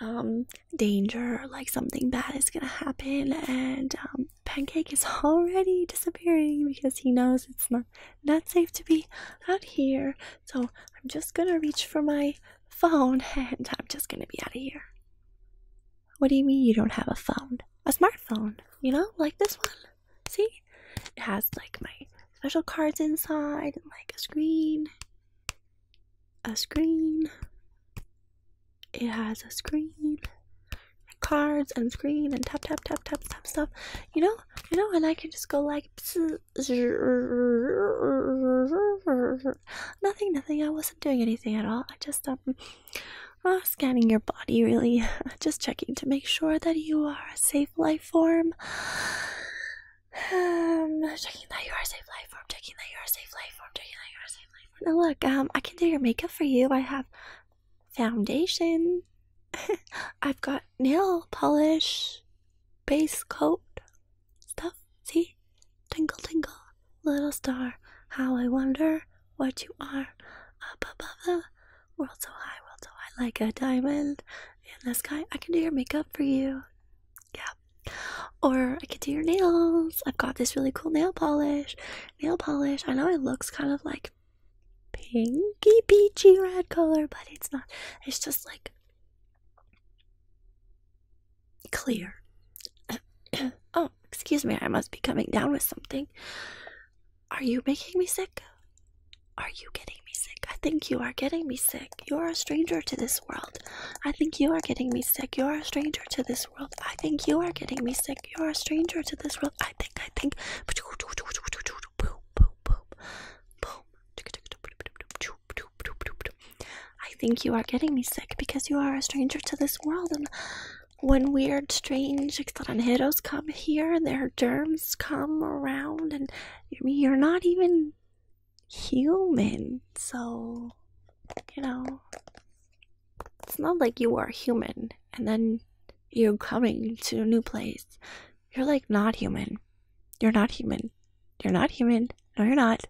um, danger, like something bad is gonna happen, and um, Pancake is *laughs* already disappearing because he knows it's not not safe to be out here. So I'm just gonna reach for my phone *laughs* and I'm just gonna be out of here. What do you mean you don't have a phone? A smartphone, you know, like this one. See? It has like my special cards inside like a screen. A screen. It has a screen. cards and screen and tap tap tap tap tap stuff. You know? you know, and I can just go like, *laughs* nothing, nothing. I wasn't doing anything at all. I just um, uh, scanning your body, really, *laughs* just checking to make sure that you are a safe life form. Um, checking that you are a safe life form. Checking that you are a safe life form. Checking that you are a safe life form. Now look, um, I can do your makeup for you. I have foundation. *laughs* I've got nail polish, base coat, stuff. See? Tinkle, tinkle, little star. How I wonder what you are. Up above the world so high, world so high, like a diamond in the sky. I can do your makeup for you. Yeah. Or I can do your nails. I've got this really cool nail polish. Nail polish. I know it looks kind of like pinky peachy red color, but it's not. It's just like clear. *coughs* oh, excuse me. I must be coming down with something. Are you making me sick? Are you getting me sick? I think you are getting me sick. You're a stranger to this world. I think you are getting me sick. You're a stranger to this world. I think you are getting me sick. You're a stranger to this world. I think, I think. I think you are getting me sick because you are a stranger to this world, and when weird, strange extranjeros come here, their germs come around, and you're not even human, so you know it's not like you are human and then you're coming to a new place you're like not human. You're not human. You're not human. No, you're not.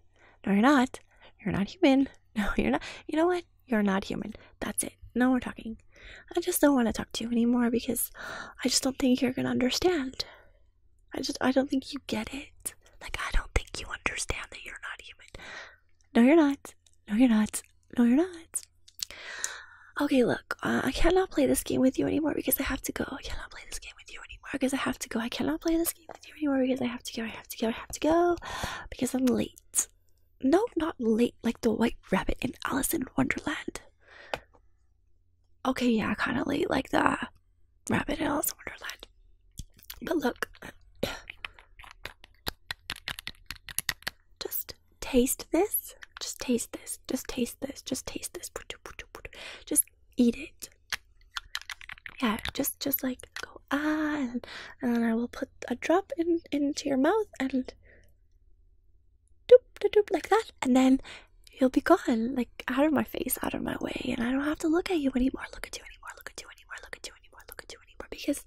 No, you're not. You're not human. *laughs* No, you're not. You know what? You're not human. That's it. No more talking. I just don't want to talk to you anymore because I just don't think you're going to understand. I just, I don't think you get it. Like, I don't think you understand that you're not human. No, you're not. No, you're not. No, you're not. Okay, look, I cannot play this game with you anymore because I have to go. I cannot play this game with you anymore because I have to go. I cannot play this game with you anymore because I have to go. I have to go. I have to go because I'm late. No, not late, like the White Rabbit in Alice in Wonderland. Okay, yeah, kind of late, like the Rabbit in Alice in Wonderland. But look, *clears throat* just taste this. Just taste this. Just taste this. Just taste this. Just eat it. Yeah, just just like go ah, and, then I will put a drop in into your mouth and doop doop doop like that, and then you'll be gone, like out of my face, out of my way, and I don't have to look at you anymore, look at you anymore, look at you anymore, look at you anymore, look at you anymore, because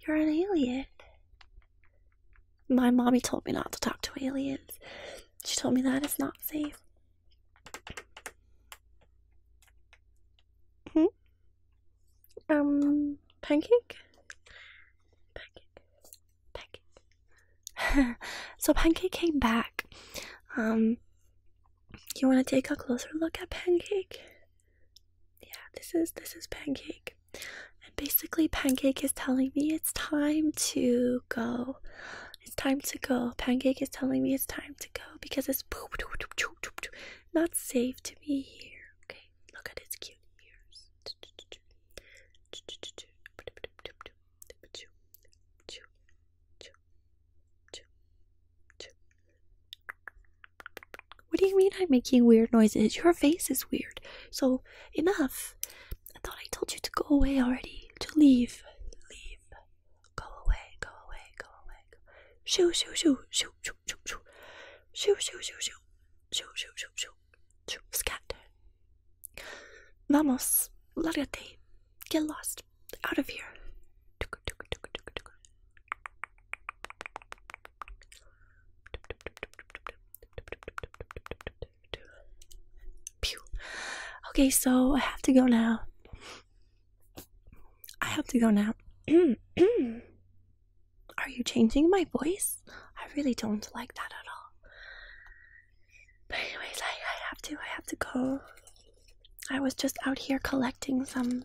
you're an alien. My mommy told me not to talk to aliens. She told me that it's not safe. Mm -hmm. Um, pancake? Pancake. Pancake. *laughs* so Pancake came back. Um, you want to take a closer look at Pancake? Yeah, this is this is Pancake pancake. And basically, pancake is telling me it's time to go. It's time to go. Pancake is telling me it's time to go because it's not safe to be here. Okay, look at its cute ears. What do you mean I'm making weird noises? Your face is weird. So, enough. I thought I told you to go away already. To leave. Leave. Go away, go away, go away. Shoo, shoo, shoo, shoo, shoo, shoo, shoo. Shoo, shoo, shoo, shoo. Shoo, shoo, shoo, shoo. Shoo, scatter. Vamos, largate. Get lost. Out of here. Okay, so I have to go now. I have to go now. *clears throat* Are you changing my voice? I really don't like that at all. But anyways, I, I have to. I have to go. I was just out here collecting some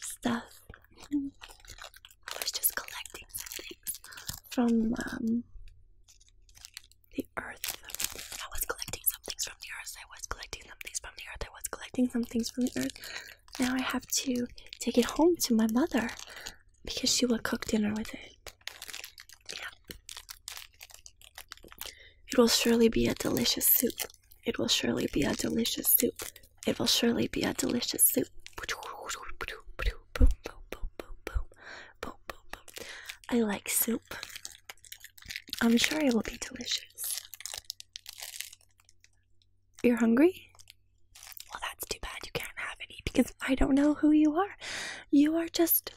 stuff. I was just collecting some things from um, the earth. I was collecting some things from the earth. I was collecting some things from the earth. I was collecting some things from the earth. Now I have to take it home to my mother because she will cook dinner with it. It will surely be a delicious soup. It will surely be a delicious soup. It will surely be a delicious soup. I like soup. I'm sure it will be delicious. You're hungry? Well, that's too bad you can't have any because I don't know who you are. You are just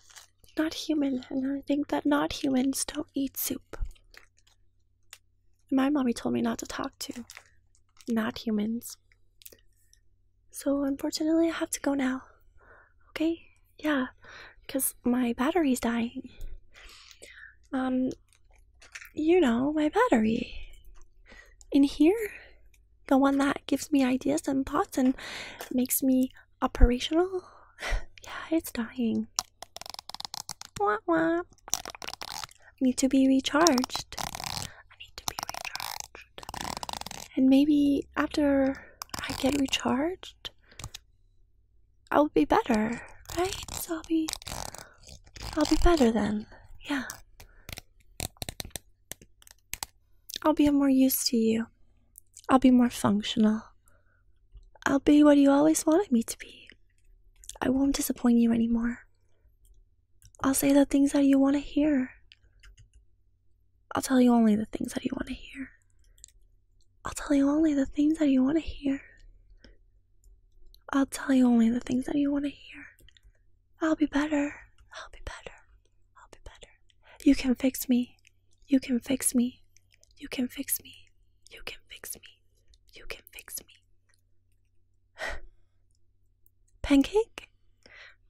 not human, and I think that not humans don't eat soup. My mommy told me not to talk to not humans. So, unfortunately, I have to go now. Okay? Yeah, because my battery's dying. Um, you know, my battery. In here? The one that gives me ideas and thoughts and makes me operational? *sighs* yeah, it's dying. Wah wah. Need to be recharged. I need to be recharged. And maybe after I get recharged, I'll be better, right? So I'll be I'll be better then. Yeah. I'll be more used to you. I'll be more functional. I'll be what you always wanted me to be. I won't disappoint you anymore. I'll say the things that you want to hear. I'll tell you only the things that you want to hear. I'll tell you only the things that you want to hear. I'll tell you only the things that you want to hear. I'll be better. I'll be better. I'll be better. You can fix me. You can fix me. You can fix me. You can fix me. You can fix me. *sighs* *sighs* *sighs* Pancake?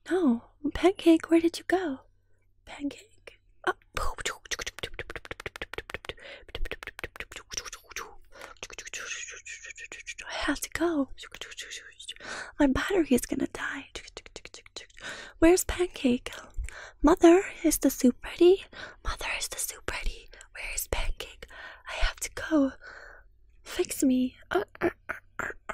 No, Pancake, where did you go? Pancake. Oh. I have to go. My battery is gonna die. Where's Pancake? Mother, is the soup ready? Mother, is the soup ready? Where is Pancake? I have to go. Fix me. Uh, uh, uh, uh,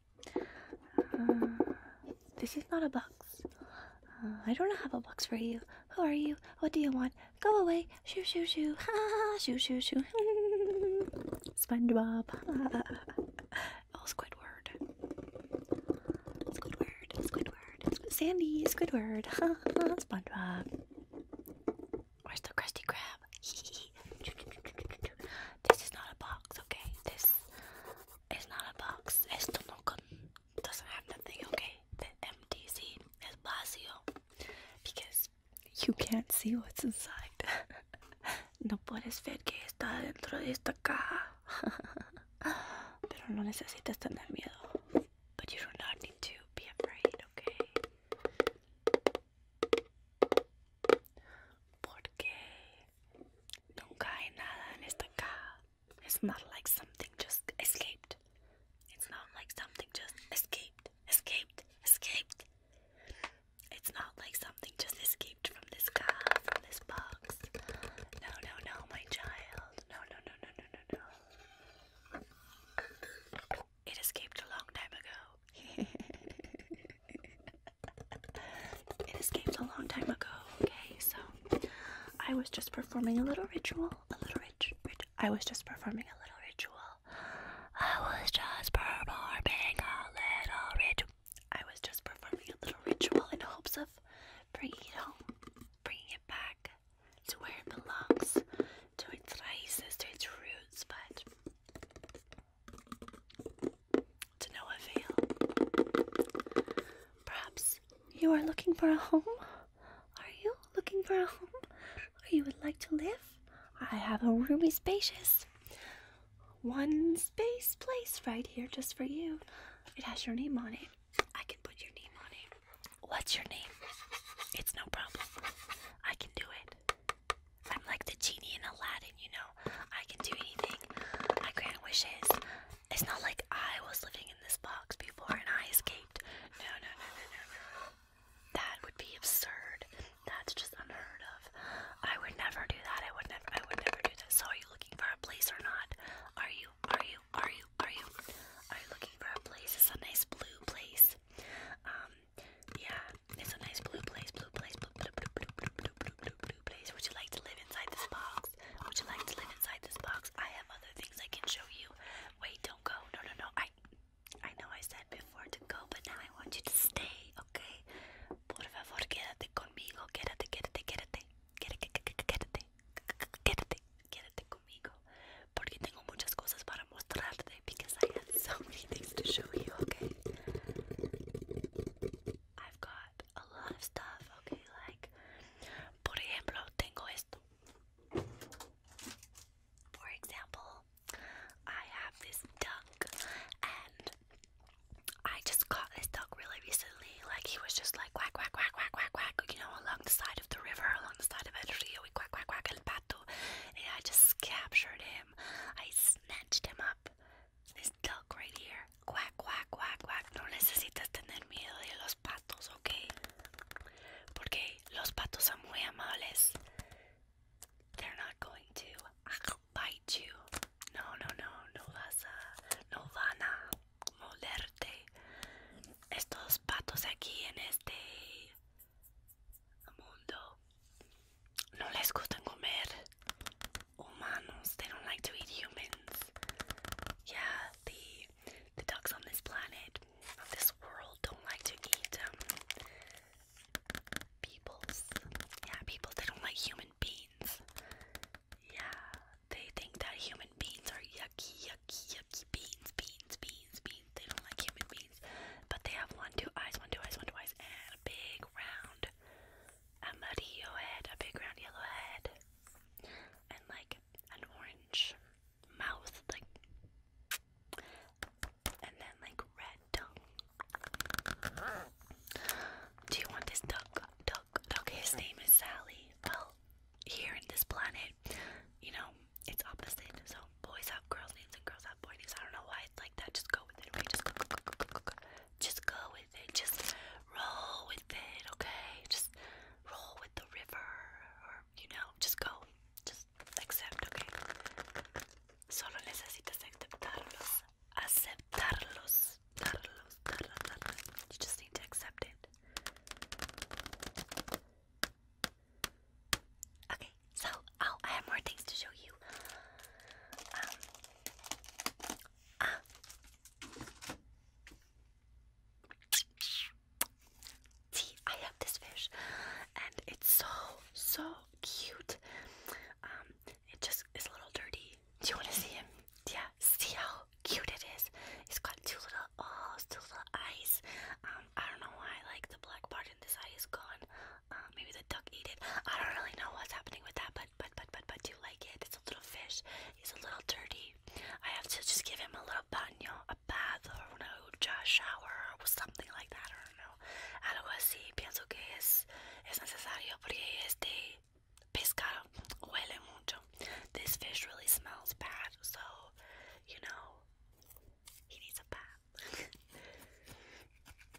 Uh, this is not a box. Uh, I don't have a box for you. Who are you? What do you want? Go away. Shoo, shoo, shoo. *laughs* Ha, shoo, shoo, shoo. *laughs* SpongeBob. oh, *laughs* Squidward. Squidward. Squidward. Squid Sandy. Squidward. SpongeBob. Where's the Krusty Krab? *laughs* this is not a box, okay? This is not a box. Esto no con doesn't have nothing, okay? The MDC is vacío because you can't see what's inside. *laughs* no puedes ver que está dentro de esta caja. *laughs* Pero no necesitas tener miedo. But you do not need to okay? Porque nunca hay nada en esta caja. It's not like something just escaped. It's not like something just escaped, escaped, escaped. It's not like something just escaped from this car, from this box. No, no, no, my child. No, no, no, no, no, no, no. It escaped a long time ago. *laughs* it escaped a long time ago, okay? So I was just performing a little ritual. A little rit I was just performing a little ritual. I was just performing a little ritual. I was just performing a little ritual in hopes of bringing it home, bringing it back to where it belongs, to its raíces, to its roots, but to no avail. Perhaps you are looking for a home? Are you looking for a home where you would like to live? I have a roomy, spacious one space place right here just for you. It has your name on it. I can put your name on it. What's your name? It's no problem. I can do it. I'm like the genie in Aladdin, you know. I can do anything. I grant wishes. It's not like I was living in this box before and I escaped. No, no, no, no, no, no. That would be absurd. That's just unheard of. I would never do that. I would never. I would never do that. So, are you looking for a place or not? Are you? Are you? Are you? Are you? Are you looking for a place? It's a nice blue place. Um, yeah. It's a nice blue place, blue place, blue, place. Would you like to live inside this box? Would you like to live inside this box? I have other things I can show you. Wait, don't go. No, no, no. I, I know I said before to go, but now I want you to stay, okay? Por favor, quédate conmigo. Quédate, quédate, quédate. Quédate, quédate. Quédate, quédate conmigo. Porque tengo muchas cosas para mostrarte because I have so many things to show you, okay? I've got a lot of stuff, okay, like, por ejemplo, tengo esto. For example, I have this duck, and I just caught this duck really recently. Like, he was just like quack, quack, quack, quack, quack, quack, you know, along the side of the river, along the side of El Rio, we quack, quack, quack, el pato. And I just captured him, I snatched him up, this duck right here. Quack, quack, quack, quack. No necesitas tener miedo de los patos, ¿ok? Porque los patos son muy amables. They're not going to ah, bite you. No, no, no, no vas no van a molerte. Estos patos aquí en este mundo no les gustan comer humanos. They don't like to eat humans. Yeah, the the dogs on this planet, on this world, don't like to eat um Yeah, people. They don't like human beings. Yeah, they think that human beings are yucky, yucky, yucky beans, beans, beans, beans. They don't like human beans, but they have one, two eyes, one, two eyes, one, two eyes, and a big round a muddy yellow head, a big round yellow head, and like an orange mouth, like, and then like red tongue. Do you want this duck? Duck, duck. His name is Sally. Well, here in this planet, you know, it's opposite. So boys have girls' names and girls have boy names. I don't know why it's like that. Just go with it. Okay, just go with it. Just roll with it, okay? Just roll with the river, or you know, just go. Just accept, okay? Solo necesitas aceptarlos. Aceptarlos. Darlos, darlos, darlos. You just need to accept it. Okay, so oh, I have more things to show you. Um, Ah. See, I have this fish, and it's so so cute. Um, it just is a little dirty. Do you want to see him? Yeah. See how cute it is. It's got two little oh, two little eyes. Um, I don't know why. Like the black part in this eye is gone. Uh, maybe the duck ate it. I don't really know what's happening with that, but but but but but do you like it? It's a little fish. He's a little dirty. I have to just give him a little baño, a bath, or no, a shower, or something like that. I don't know. Algo así. Pienso que es es necesario porque este pescado huele mucho. This fish really smells bad, so you know he needs a bath. *laughs*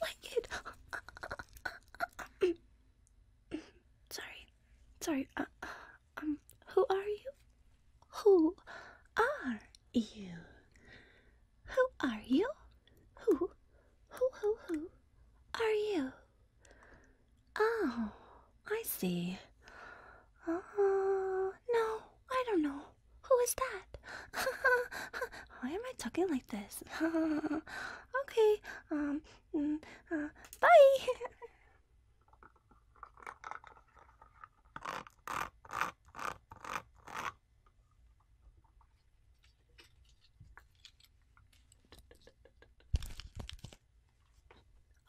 like it. sorry, sorry. Uh, um, who are you? Who are you? Who are you? Who, who, who, who are you? Oh, I see. Oh, no, I don't know. Who is that? *laughs* Why am I talking like this? *laughs* okay, um, mm, uh, bye! *laughs*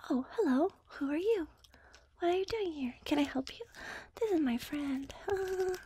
Oh, hello. Who are you? What are you doing here? Can I help you? This is my friend.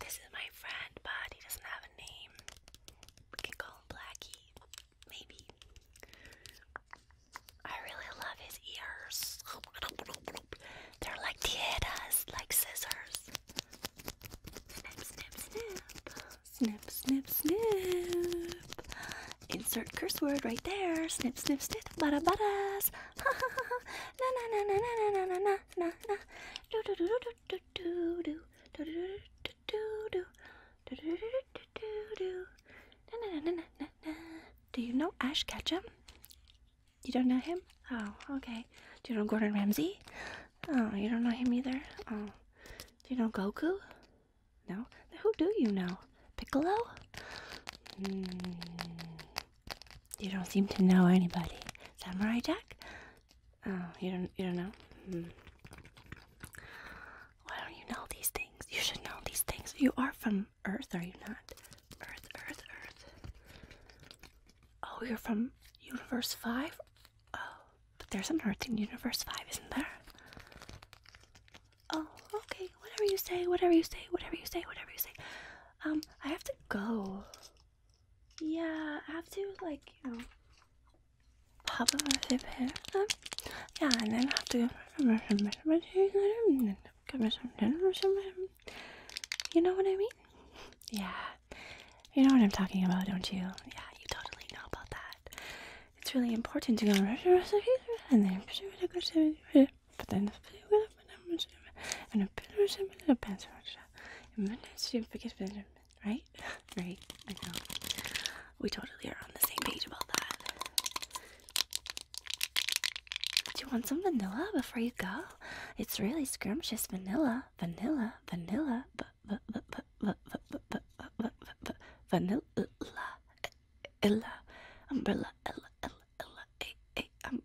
This is my friend, but he doesn't have a name. We can call him Blackie, maybe. I really love his ears. They're like tijeras, like scissors. Snip, snip, snip. Snip, snip, snip. Insert curse word right there. Snip, snip, snip. Bada, badas. Ha, *laughs* ha, ha, ha. Na, na, na, na, na, na, na, na do you know Ash Ketchum? You don't know him? Oh, okay. Do you know Gordon Ramsay? Oh, you don't know him either. Oh, do you know Goku? No. Who do you know? Piccolo? Hmm. You don't seem to know anybody. Samurai Jack? Oh, you don't you don't know? Hmm. Why don't you know these things? You should know these things. You are from Earth, are you not? Earth, Earth, Earth. Oh, you're from Universe 5? Oh, but there's an Earth in Universe 5, isn't there? Oh, okay. Whatever you say, whatever you say, whatever you say, whatever you say. Um, I have to go. Yeah, I have to like, you know, pop up my Fitbit. yeah, and then I have to go You know what I mean? Yeah. You know what I'm talking about, don't you? Yeah, you totally know about that. It's really important to go and then but then and a pillow and a little pencil. And minutes you biggest benjamin, right? right, I know. We totally are on the same page about that. Do you want some vanilla before you go? It's really scrumptious vanilla, vanilla, vanilla, vanilla, umbrella, umbrella, umbrella,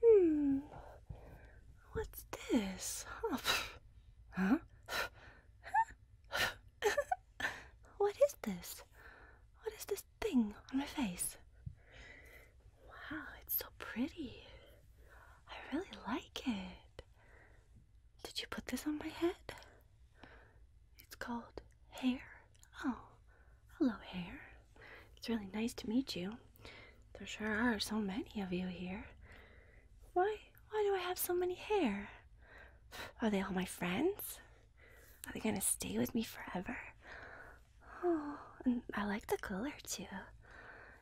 hmm. What's this? Huh? what is this? What is this thing on my face? Wow, it's so pretty. I really like it. Did you put this on my head? It's called hair. Oh, hello, hair. It's really nice to meet you. There sure are so many of you here. Why? Why do I have so many hair? Are they all my friends? Are they gonna stay with me forever? Oh, I like the color too.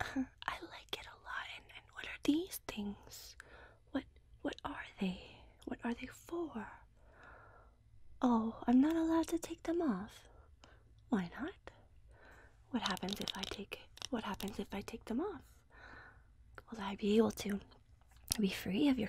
I like it a lot. And, what are these things? What what are they? What are they for? Oh, I'm not allowed to take them off. Why not? What happens if I take what happens if I take them off? Will I be able to be free of your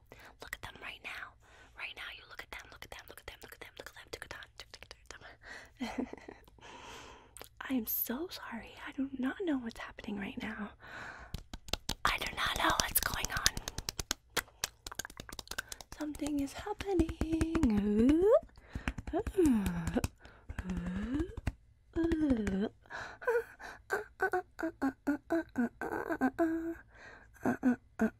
Look at them right now. Right now, you look at them, look at them, look at them, look at them, look at them. *laughs* I am so sorry. I do not know what's happening right now. I do not know what's going on. Something is happening. *laughs*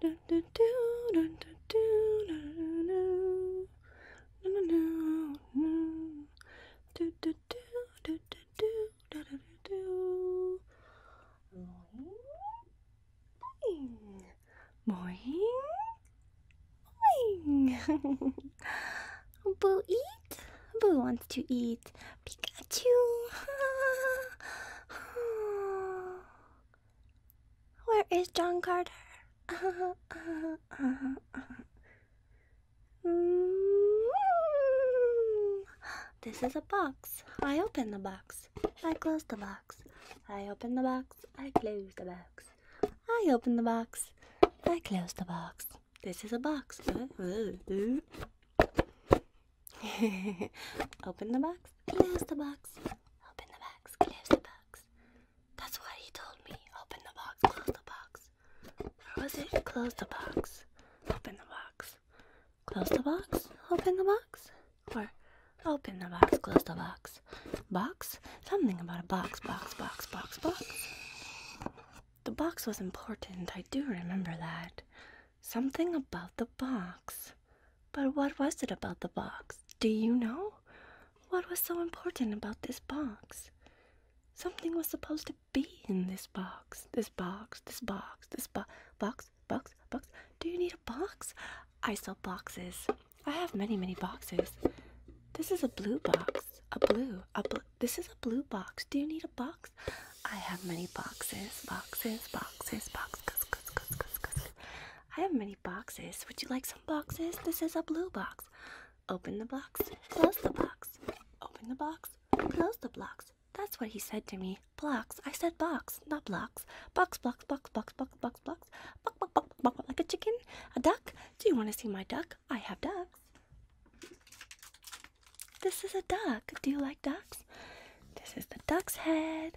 do do do do do do do do do do do do do do do Boing. Boing. Boing. *laughs* Boo eat. Boo wants to eat. Pikachu! *laughs* Where is John Carter? *laughs* Mm. This is a box. I open the box. I close the box. I open the box. I close the box. I open the box. I close the box. This is a box. *laughs* Open the box, close the box. Open the box, close the box. That's what he told me. Open the box, close the box. Or was it close the box? Open the box. Close the box, open the box. Or open the box, close the box. Box? Something about a box, box, box, box, box. The box was important, I do remember that. Something about the box. But what was it about the box? Do you know? What was so important about this box? Something was supposed to be in this box. This box, this box, this box. box, box, box. Do you need a box? I sell boxes. I have many, many boxes. This is a blue box. A blue, a blue. This is a blue box. Do you need a box? I have many boxes, boxes, boxes, boxes. I have many boxes. Would you like some boxes? This is a blue box. Open the box, close the box. Open the box, close the box. That's what he said to me. Blocks. I said box, not blocks. Box, box, box, box, box, box, box. Box, box, box, box, like a chicken, a duck. Do you want to see my duck? I have ducks. This is a duck. Do you like ducks? This is the duck's head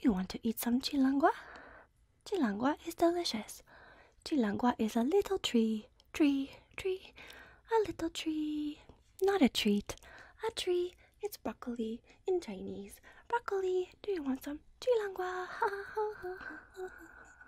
Do you want to eat some chilangua? Chilangua is delicious. Chilangua is a little tree, tree, tree, a little tree. Not a treat, a tree. It's broccoli in Chinese. Broccoli, do you want some? Chilangua. *laughs*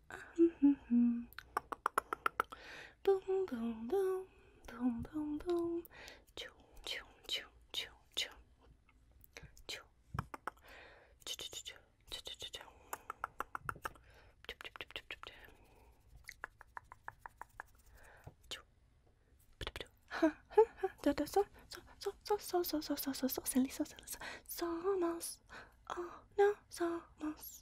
boom, boom, boom, boom, boom, boom. Choo, choo, choo, choo, choo. Choo. Choo, choo, choo, choo, choo, choo, choo. So, so, so, so, so, so, so, so, so, so, so, so, somos. Oh, no, somos.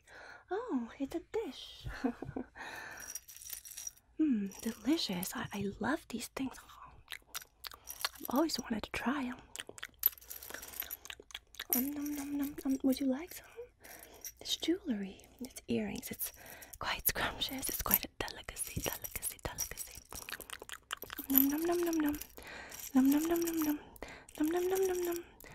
Oh, it's a dish. Mmm, *laughs* delicious. I, I love these things. I've always wanted to try them. Um, nom, nom, Would you like some? It's jewelry. It's earrings. It's quite scrumptious. It's quite a delicacy, delicacy, delicacy. Nom nom nom nom nom. Nom nom nom nom nom. Nom nom nom nom nom.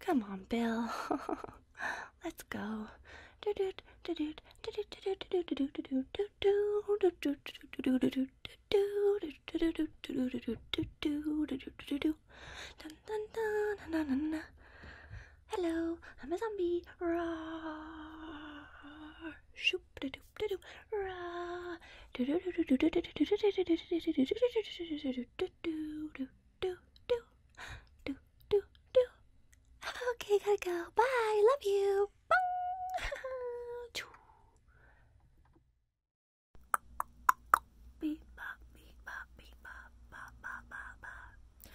Come on, Bill. Let's go. Hello, I'm a zombie. Roar. Shoop da doop da doo. Roar do do do do do do do Okay, gotta go. Bye. Love you. beep bop, beep bop, beep bop, bop bop bop bop.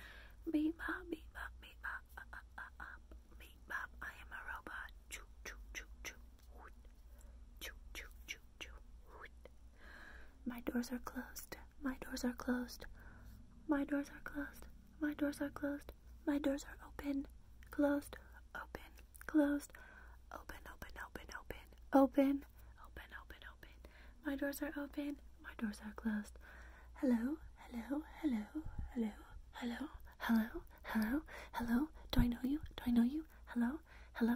Beep bop, beep bop, beep bop, up up up up. Beep bop. I am a robot. Choo choo choo choo. Choo, choo, choo, choo. My doors are closed. My doors are closed. My doors are closed. My doors are closed. My doors are open. Closed. Open. Closed. Open, open, open, open. Open. Open, open, open. My doors are open. My doors are closed. Hello, hello, hello, hello, hello, hello, hello, hello. Do I know you? Do I know you? Hello, hello,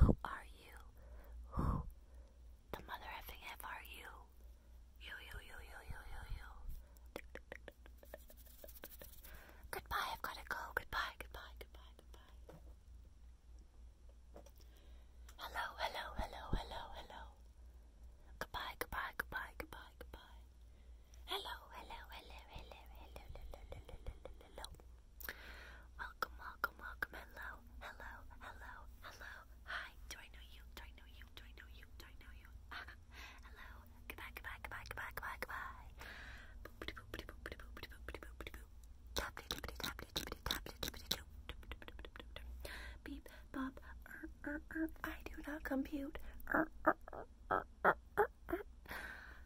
Who are you? Who the mother are you? You, you, you, you, you, you, you. Goodbye, I've gotta go. Goodbye, goodbye, goodbye, goodbye. Hello, hello, hello, hello, hello. Goodbye, goodbye, goodbye, goodbye, goodbye. hello, hello, hello, hello, hello. Welcome, welcome, welcome. Hello, hello, hello, hello. Hi, do I know you? Do I know you? Do I know you? Do I know you? *laughs* hello. Goodbye, goodbye, goodbye, goodbye, goodbye, goodbye. Beep, bop, er, er, er. I do not compute. Er, er, er, er, er, er, er.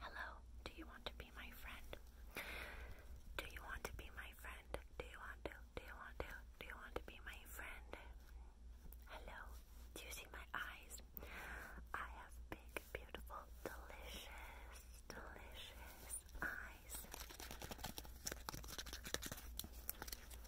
Hello, do you want to be my friend? Do you want to be my friend? Do you want to? Do you want to? Do you want to be my friend? Hello, do you see my eyes? I have big, beautiful, delicious, delicious eyes.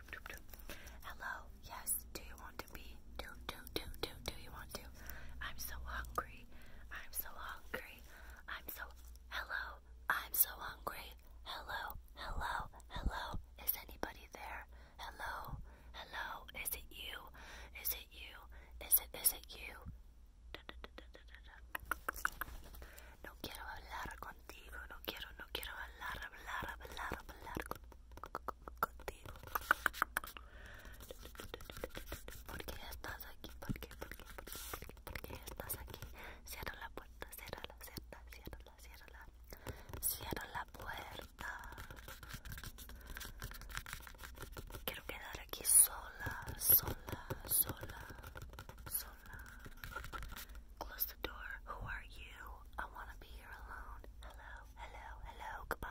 Hello, yes, do you want to be? Do, do, do, do, do you want to? I'm so hungry. I'm so hungry. I'm so, hello, I'm so hungry. Hello, hello, hello. Is anybody there? Hello, hello. Is it you? Is it you? Is it, is it you? No quiero hablar contigo. No quiero, no quiero hablar, hablar, hablar, hablar contigo. ¿Por qué estás aquí? ¿Por qué? ¿Por qué? ¿Por qué? ¿Por qué? ¿Por qué estás aquí? Cierra la puerta, cierra la, cierra, cierra Close the door. I wanna be here alone. Hello hello, hello, goodbye.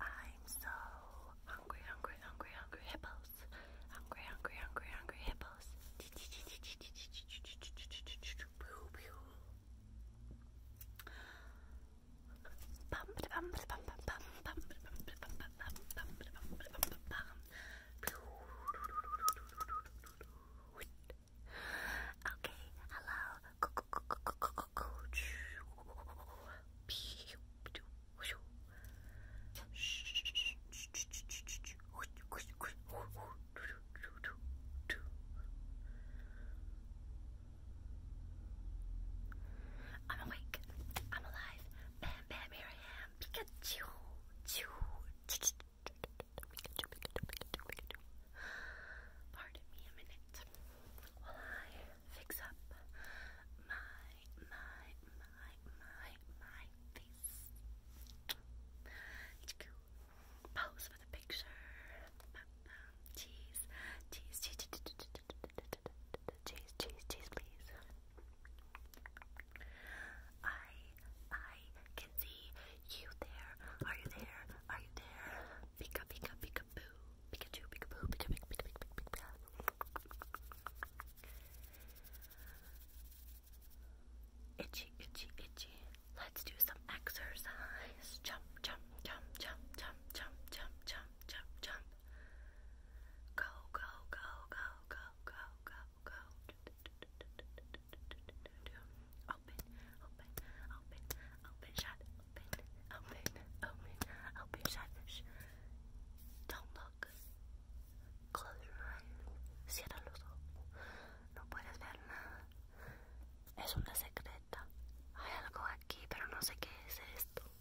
I'm so hungry, hungry, hungry, hungry hippos. Hungry, hungry, hungry, hungry hippos. Okay, hello. I'm awake. I'm alive bam, bam, here I am. Pikachu, Pikachu, Pardon me a minute while I fix up my, my, my, my, my face. Pose for the picture. Cheese, cheese, cheese, cheese, cheese, cheese, cheese, please. I I can see you there. Are you there? Are you there? Pika pika pika boo. Pikachu pika boo. Pika pika pika pika pika. Itchy itchy itchy. Let's do some exercise. Jump jump jump jump jump jump jump jump jump, jump. Go, go, go, go, go, go, go, go. Open, open, open, open, shut, open, open, open, open, shut. Don't look. Close your eyes. Cierra los ojos. No puedes ver nada. Es una secreta. Hay algo aquí, pero no sé qué es esto.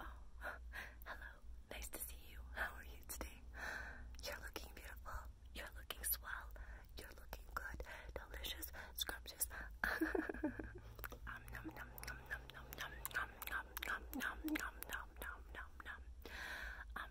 Oh, hello. Nice to see you. How are you today? You're looking beautiful. You're looking swell. You're looking good. Delicious. Scrumptious. um, nom nom nom nom nom nom nom nom nom nom nom nom nom nom nom. Um,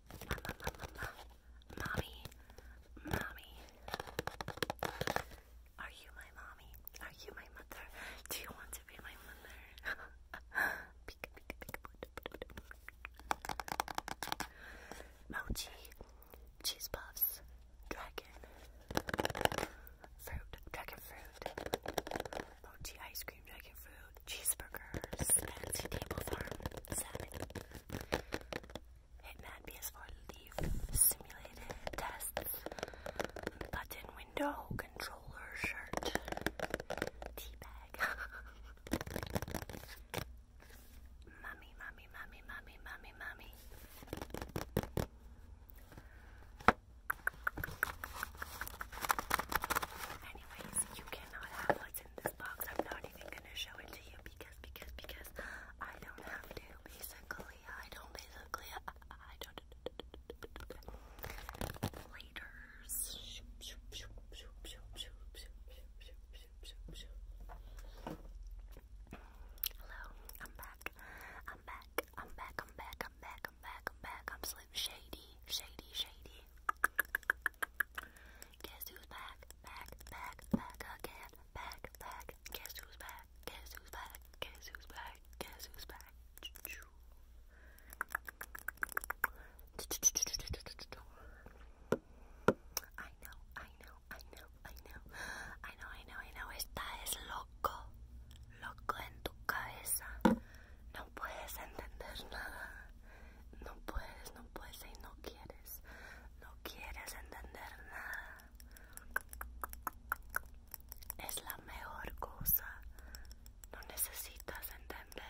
mama, mama, mama, mommy, mommy. Are you my mommy? Are you my mother? Do you want to be my mother? peek, peek, peek, Mochi, cheese puffs, dragon fruit, dragon fruit, mochi ice cream, dragon fruit, cheeseburgers, fancy table farm, salmon, Hitman PS4 Leaf simulated tests, button window, controller, shirt, tea bag. *laughs* Mummy, mummy, mummy, mummy, mummy, mummy. Anyways, you cannot have what's in this box. I'm not even gonna show it to you because because because I don't have to basically I don't basically I, I don't Laters Hello I'm back I'm back I'm back I'm back I'm back I'm back I'm back I'm Slim Shady Shady Shady Guess who's back? Back, back, back again. Back, back. Guess who's back? Guess who's back? Guess who's back? Guess who's back? I know, I know, I know, I know, I know, I know, I know. Esta es loco, loco en tu cabeza. No puedes entender nada. no puedes, no puedes y no quieres, no quieres entender nada. Es la mejor cosa, no necesitas entender.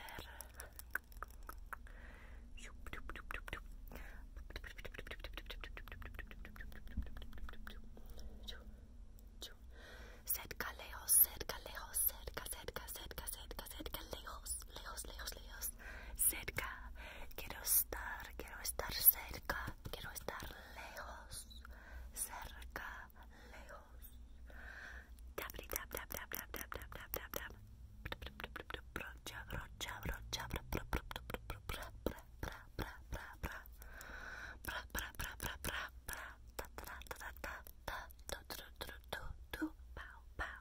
Cerca, lejos, cerca, lejos, cerca, cerca, cerca, cerca, cerca, lejos, lejos, lejos, lejos. cerca, quiero estar, quiero estar cerca, quiero estar lejos, cerca, lejos. Brocha, brocha, brocha, brocha, brocha,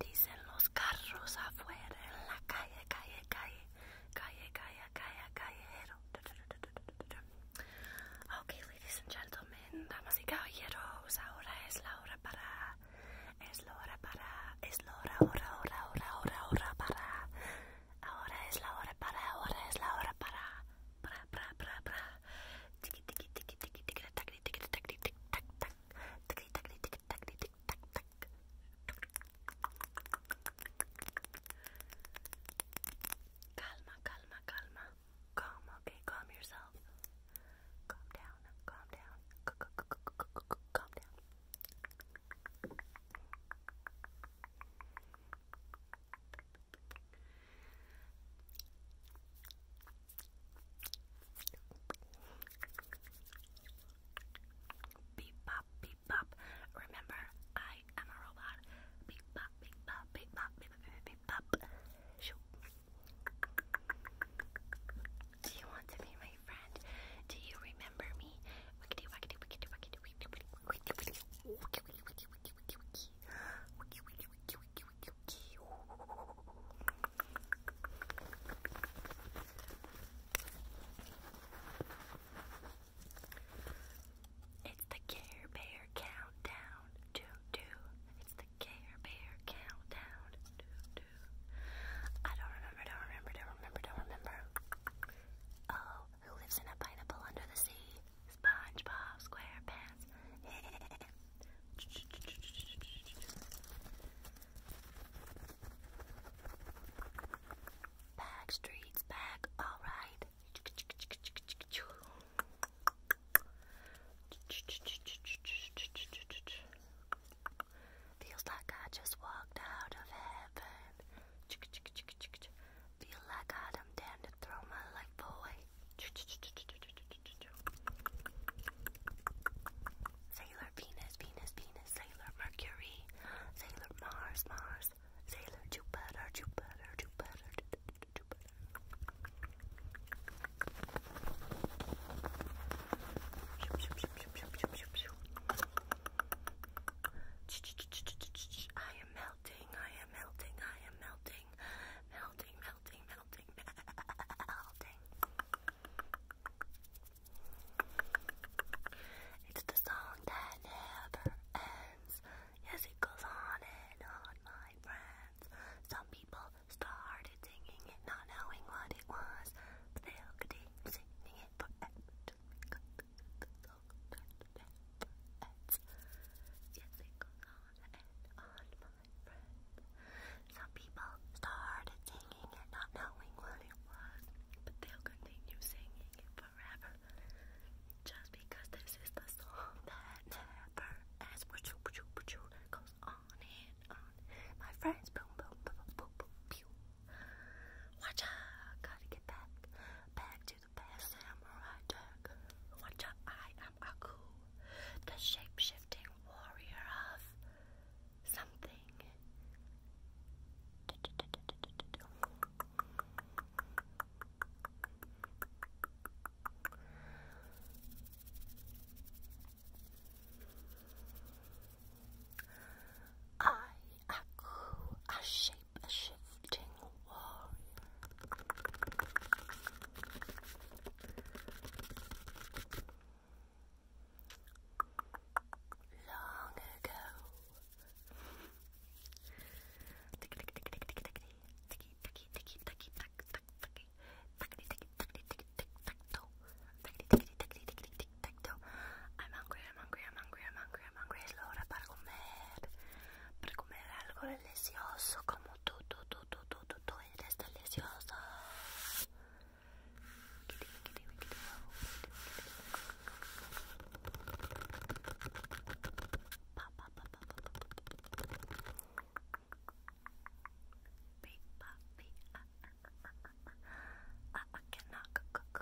dicen los carros afuera en la calle, calle, calle, calle, calle, calle, Ok, ladies and gentlemen, damas y caballeros, ahora es la hora para, es la hora para, es la hora, para, ahora es la hora para, ahora es la hora para, para, para, para, Tiki, tiki, tiki, tiki, tiki, tiki, tik Calma, calma, calma. Calm, okay? Calm yourself. Calm down, calm down. calm down. Beep bop, beep bop. Remember, I am a robot. Beep bop, beep beep beep beep, beep Do you want to be my friend? Do you remember me? It's the Care Bear countdown. Do do. It's the Care Bear countdown. Do do. I don't remember. Don't remember. Don't remember. Don't remember. Oh, who lives in a pineapple under the sea? SpongeBob SquarePants. *laughs* Back streets, back, alright. Feels like I just walked out of heaven. Feel like I'm damned to throw my life away. Sailor Sailor Venus, Venus, Venus, Sailor Mercury, Sailor Mars, Mars, Sailor Jupiter, Jupiter, Jupiter, Jupiter. I am melting, I am melting, I am melting, melting, melting, melting, *laughs* melting. It's the song that never ends. Yes, it goes on and on, my friends. Some people started singing it, not knowing what it was, they'll continue singing it forever. Yes, it goes on and on, my friends. Some people started singing and not knowing what it was, but they'll continue singing it forever. Just because this is the song that never ends, which goes on and on. My friends, boom, boom, boom, boom, boom, pew. Watch out, gotta get back, back to the past samurai deck. Watch out, I am Aku, the shape-shifting warrior of something. I, Aku, a shape a shifting warrior long ago. I cannot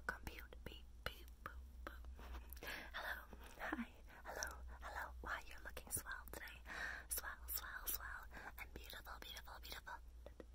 compute. Beep, beep, boop, boop. Hello, hi, hello, hello. Wow, you're looking swell today. Swell, swell, swell, and beautiful, beautiful, beautiful.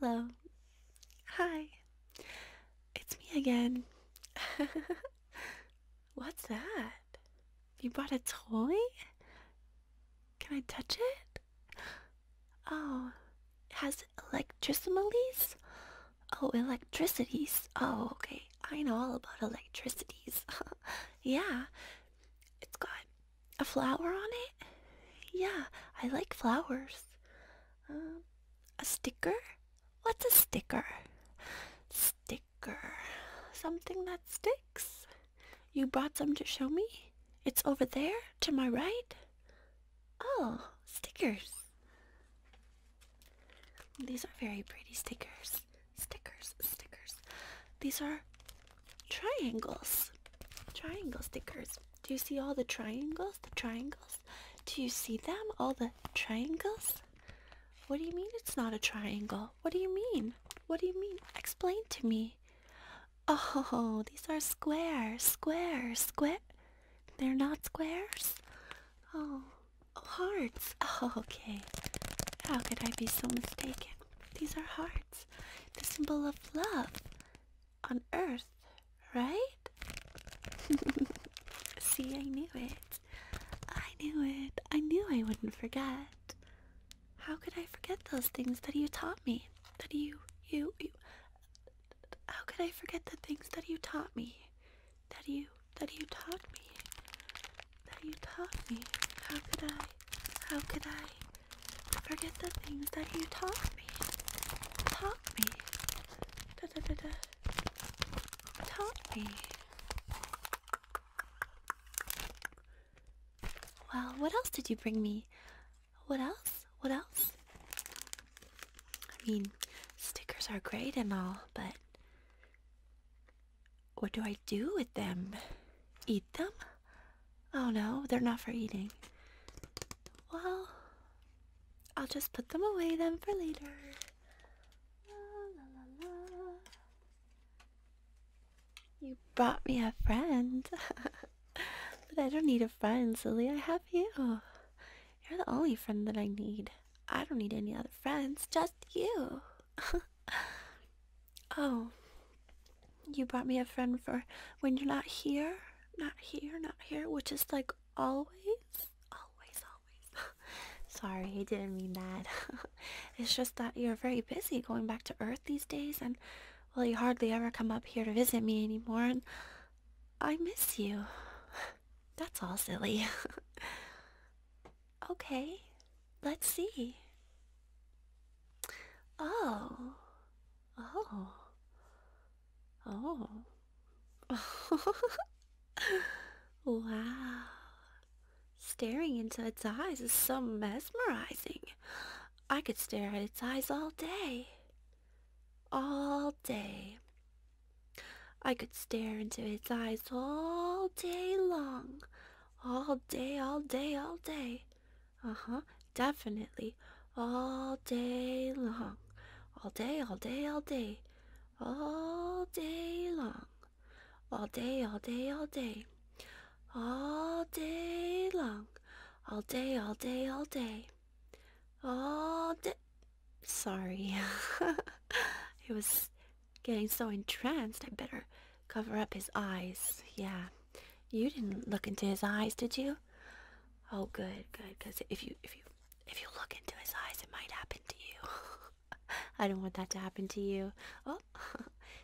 Hello. Hi. It's me again. *laughs* What's that? You brought a toy? Can I touch it? Oh, it has electricimalies? Oh, electricities. Oh, okay. I know all about electricities. *laughs* yeah. It's got a flower on it? Yeah, I like flowers. Um, a sticker? What's a sticker? Sticker. Something that sticks? You brought some to show me? It's over there, to my right? Oh, stickers. These are very pretty stickers. Stickers, stickers. These are triangles. Triangle stickers. Do you see all the triangles? The triangles? Do you see them? All the triangles? What do you mean it's not a triangle? What do you mean? What do you mean? Explain to me. Oh, these are squares, squares, square. They're not squares? Oh, hearts. Oh, okay. How could I be so mistaken? These are hearts, the symbol of love on earth, right? *laughs* See, I knew it. I knew it. I knew I wouldn't forget. How could I forget those things that you taught me? That you, you, you. How could I forget the things that you taught me? That you, that you taught me. That you taught me. How could I, how could I forget the things that you taught me? Taught me. Da da da da do Well, what else did you bring me? What else? What else? I mean, stickers are great and all, but what do I do with them? Eat them? Oh no, they're not for eating. Well, I'll just put them away then for later. You brought me a friend. *laughs* but I don't need a friend, silly. I have you. You're the only friend that I need. I don't need any other friends, just you. *laughs* oh. You brought me a friend for when you're not here. Not here, not here, which is like always, always, always. *laughs* Sorry, I didn't mean that. *laughs* it's just that you're very busy going back to Earth these days, and well, you hardly ever come up here to visit me anymore, and I miss you. *laughs* That's all silly. okay, let's see. Oh. Oh. Oh. *sighs* wow. Staring into its eyes is so mesmerizing. I could stare at its eyes all day. All day. I could stare into its eyes all day long. All day, all day, all day. Uh huh, definitely. All day long. All day, all day, all day. All day long all day, all day, all day, all day long, all day, all day, all day, all day. Sorry, he *laughs* was getting so entranced. I better cover up his eyes. Yeah, you didn't look into his eyes, did you? Oh, good, good. Because if you, if you, if you look into his eyes, it might happen to you. *laughs* I don't want that to happen to you. Oh,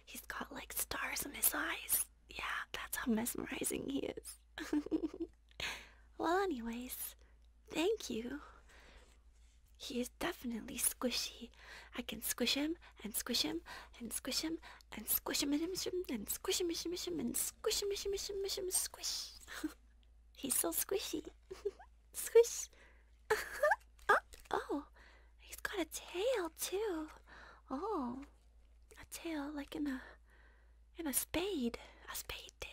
he's got like stars in his eyes. Yeah, that's how mesmerizing he is. well, anyways, thank you. He is definitely squishy. I can squish him and squish him and squish him and squish him and squish him and squish him and squish him and squish him and squish him and squish him. He's so squishy. Squish. *laughs* oh, oh, he's got a tail too. Oh, a tail like in a in a spade, a spade tail.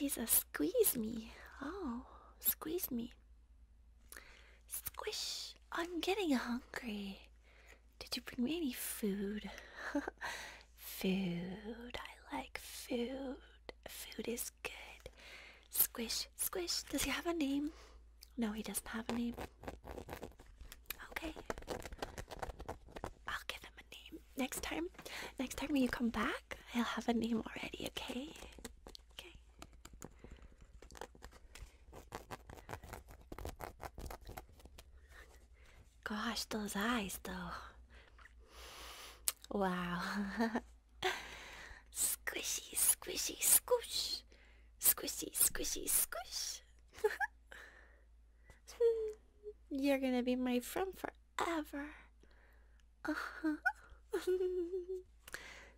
He's a squeeze me. Oh, squeeze me. Squish. I'm getting hungry. Did you bring me any food? *laughs* food. I like food. Food is good. Squish, squish. Does he have a name? No, he doesn't have a name. Okay. I'll give him a name. Next time, next time when you come back, I'll have a name already, okay? Okay. Gosh, those eyes, though. Wow. *laughs* squishy, squishy, squish. Squishy, squishy, squish. *laughs* You're gonna be my friend forever. Uh -huh. *laughs*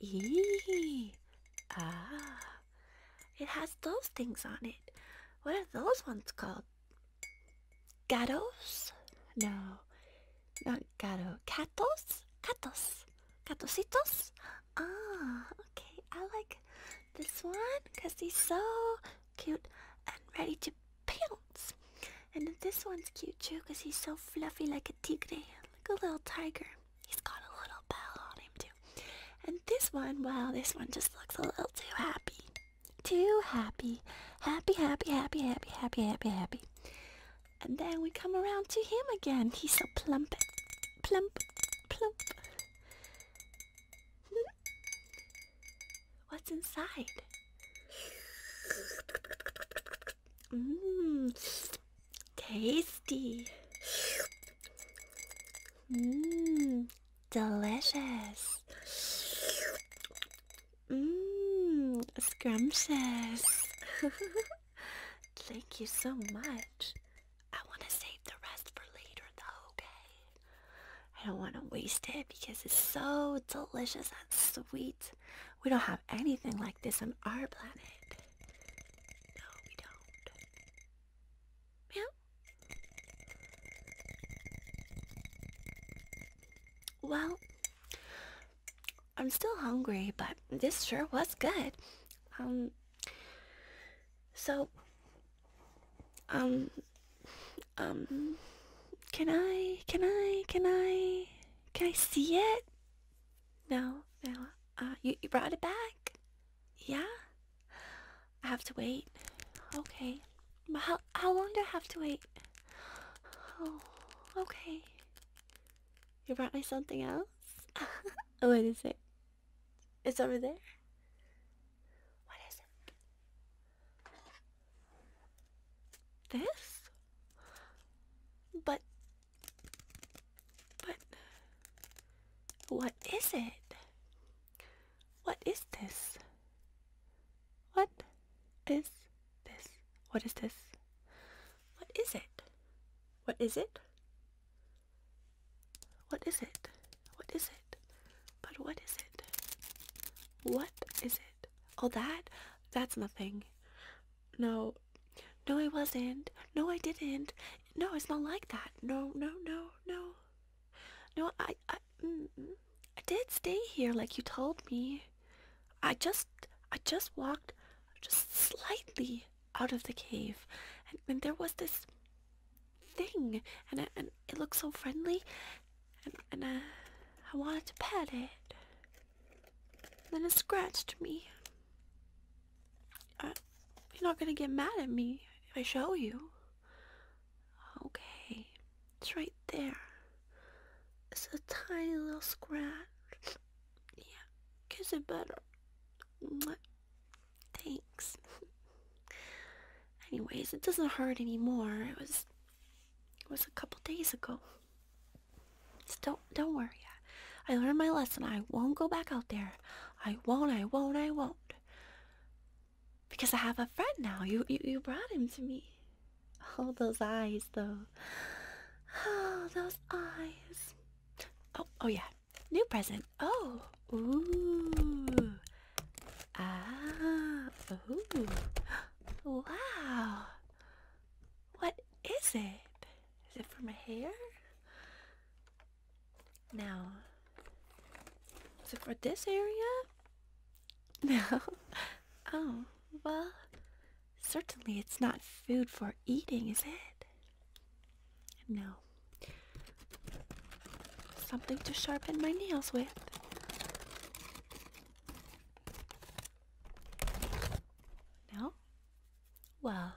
Eee. Ah. It has those things on it. What are those ones called? Gatos? No. Not gato. Catos? Catos. Catositos? Ah, okay. I like this one because he's so cute and ready to pounce. And this one's cute too because he's so fluffy like a tigre, like a little tiger. He's got a little bell on him too. And this one, well, this one just looks a little too happy. Too Happy, happy, happy, happy, happy, happy, happy. And then we come around to him again. He's so plump. Plump. Plump. *laughs* What's inside? Mmm, tasty. Mmm, delicious. Mmm, scrumptious. *laughs* Thank you so much. I want to save the rest for later though, okay? I don't want to waste it because it's so delicious and sweet. We don't have anything like this on our planet. No, we don't. Meow. Well, I'm still hungry, but this sure was good. Um, so, um, um, can I, can I, can I, can I see it? No, no. Uh, you, brought it back? Yeah? I have to wait. Okay. But how, how long do I have to wait? Oh, okay. You brought me something else? what is it? It's over there? What is it? This? But but uh, what is it? What is this? What is this? What is this? What is it? What is it? What is it? What is it? But what is it? What is it? All that? That's nothing. No. No, I wasn't. No, I didn't. No, it's not like that. No, no, no, no. No, I, I, did stay here like you told me. I just, I just walked just slightly out of the cave. And, there was this thing. And, it looked so friendly. And, I, uh, I wanted to pet it. then it scratched me. Uh, you're not gonna get mad at me if I show you. Okay, it's right there. It's a tiny little scratch. Yeah, kiss it better. Thanks. Anyways, it doesn't hurt anymore. It was, it was a couple days ago. So don't don't worry. I learned my lesson. I won't go back out there. I won't. I won't. I won't. Because I have a friend now. You you, you brought him to me. Oh, those eyes, though. Oh, those eyes. Oh, oh yeah. New present. Oh, ooh. Ah, ooh. *gasps* Wow. What is it? Is it for my hair? No. Is it for this area? *laughs* No. Oh, well, certainly it's not food for eating, is it? No. Something to sharpen my nails with. No? Well,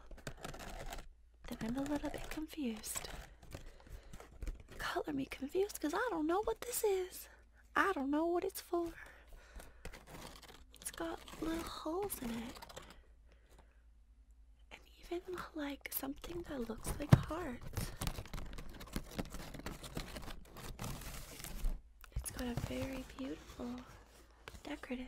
then I'm a little bit confused. Color me confused because I don't know what this is. I don't know what it's for. It's got little holes in it. And even like something that looks like hearts. It's got a very beautiful decorative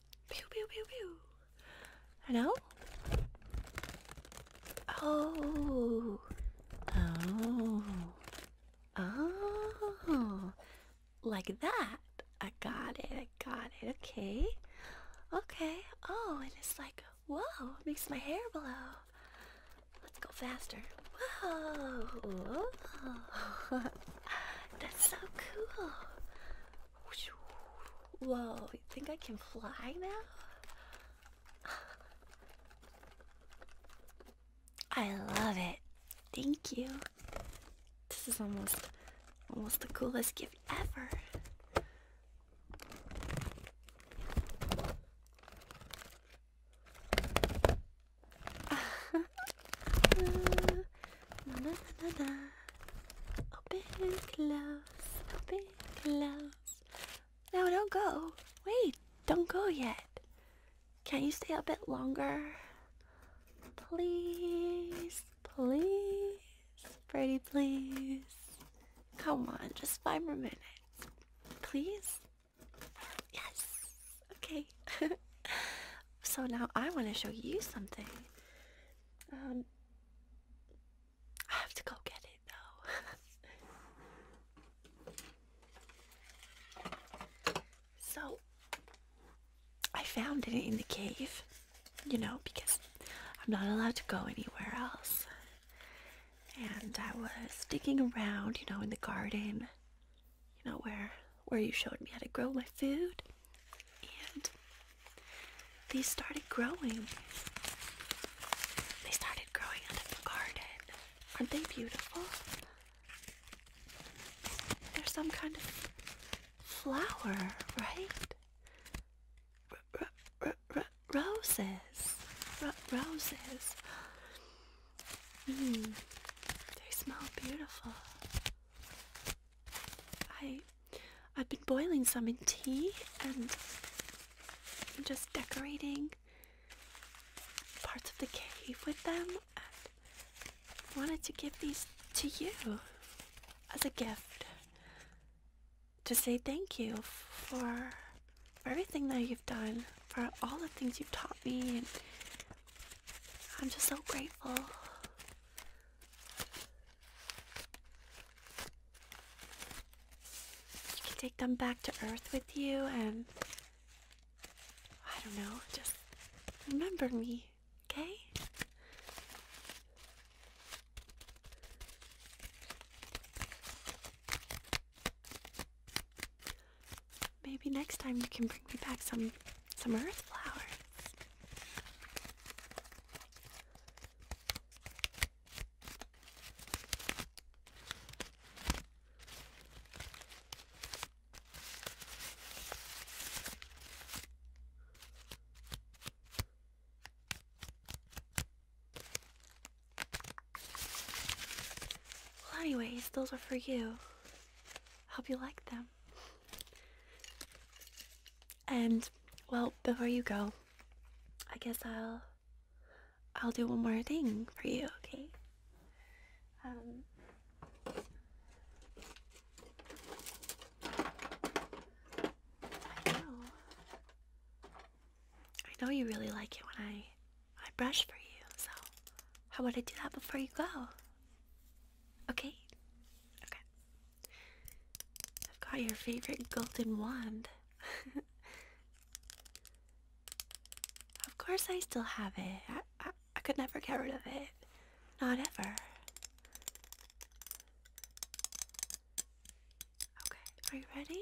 Pew pew pew pew. Hello? Oh. Oh. Oh. Like that. I got it. I got it. Okay. Okay. Oh, and it's like, whoa, it makes my hair blow. Let's go faster. Whoa. Whoa. *laughs* That's so cool. Whoa, you think I can fly now? I love it. Thank you. This is almost almost the coolest gift ever. *laughs* Na, na, na, na. Open, close, open, close. No, don't go. Wait, don't go yet. Can you stay a bit longer? Please, please, pretty please. Come on, just five more minutes. Please? Yes. Okay. *laughs* so now I want to show you something. Um, I have to go get it though. *laughs* so I found it in the cave, you know, because I'm not allowed to go anywhere else. And I was digging around, you know, in the garden, you know, where where you showed me how to grow my food and they started growing. They started growing out of the garden. Aren't they beautiful? They're some kind of flower, right? roses. roses. Mm, they smell beautiful. I I've been boiling some in tea and I'm just decorating parts of the cave with them and wanted to give these to you as a gift to say thank you for everything that you've done, for all the things you've taught me and I'm just so grateful. You can take them back to Earth with you and. I don't know, just remember me, okay? Maybe next time you can bring me back some some earth flowers. Well, anyways, those are for you. Hope you like them. And well, before you go, I guess I'll I'll do one more thing for you, okay? Um I know. I know you really like it when I I brush for you, so how about I do that before you go? Okay? Okay. I've got your favorite golden wand. of course, I still have it. I, I, could never get rid of it. Not ever. Okay, are you ready?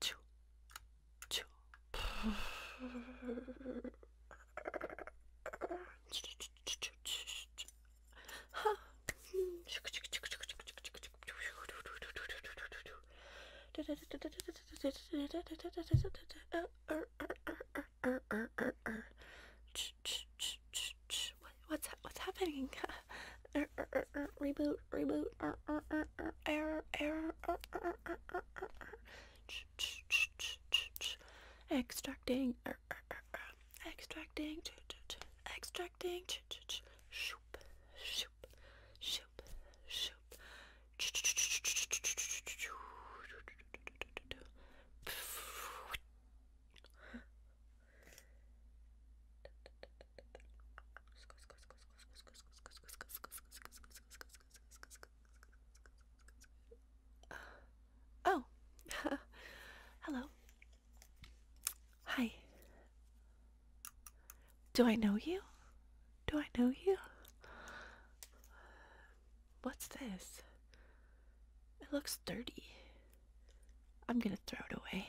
Choo. Choo. *laughs* What's what's happening? *laughs* reboot, reboot, error, error, extracting, extracting, extracting, shoop, shoop, shoop, shoop. Oh, *laughs* hello. Hi. Do I know you? Do I know you? What's this? It looks dirty. I'm gonna throw it away.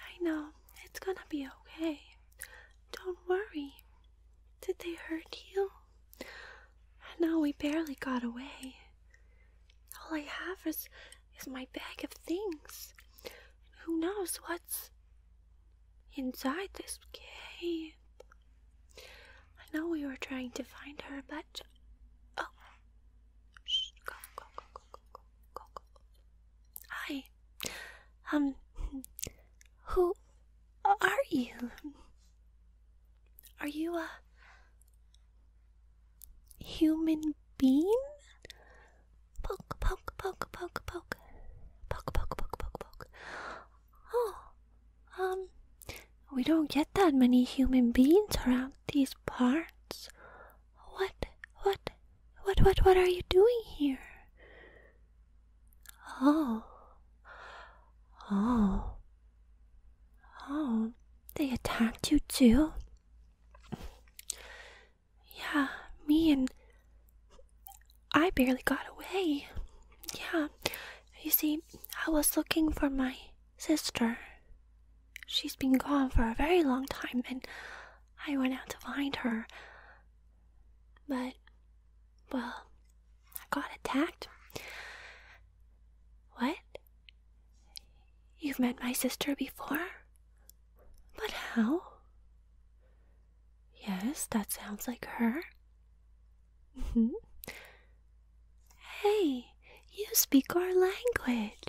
I know, it's gonna be okay. Don't worry. Did they hurt you? No, we barely got away. All I have is, is my bag of things. Who knows what's inside this cave? I know we were trying to find her, but. Oh! Shh, go, go, go, go, go, go. Hi. Um, who are you? Are you a human being? Poke, poke, poke, poke, poke. Poke, poke, poke, poke, poke. Oh, um, we don't get that many human beings around these parts. What, what, what, what, what are you doing here? Oh, oh, oh, they attacked you too? Yeah, me and I barely got away. Yeah, you see, I was looking for my sister. She's been gone for a very long time, and I went out to find her. But, well, I got attacked. What? You've met my sister before? But how? Yes, that sounds like her. *laughs* Hey, you speak our language.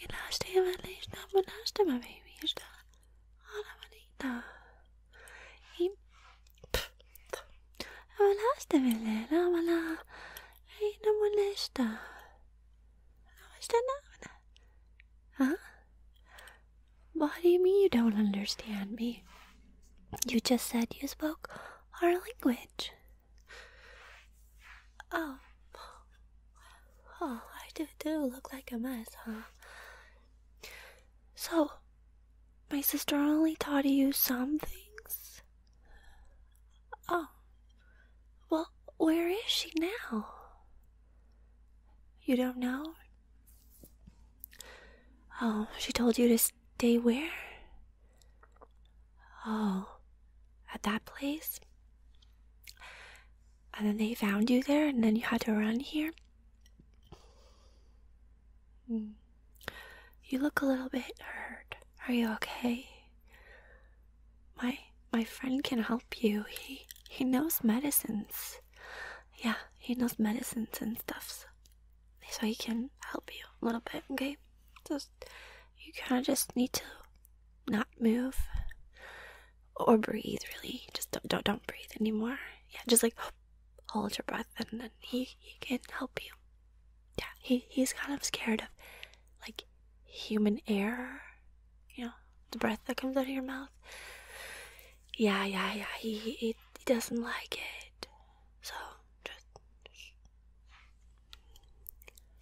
You manita. Elastimanisna monastama babyista. Ana manita. I Elastimilena mala. Reina molesta. How's that now? Huh? What do you mean you don't understand me? You just said you spoke our language. Oh, oh, I do do look like a mess, huh? So, my sister only taught you some things? Oh, well, where is she now? You don't know? Oh, she told you to stay where? Oh, at that place? And then they found you there, and then you had to run here? Hmm. You look a little bit hurt. Are you okay? My my friend can help you. He he knows medicines. Yeah, he knows medicines and stuff. so he can help you a little bit, okay? Just you kind of just need to not move or breathe. Really, just don't don't, breathe anymore. Yeah, just like hold your breath, and then he he can help you. Yeah, he he's kind of scared of like human air. You know, the breath that comes out of your mouth. Yeah, yeah, yeah. He he, he doesn't like it. So just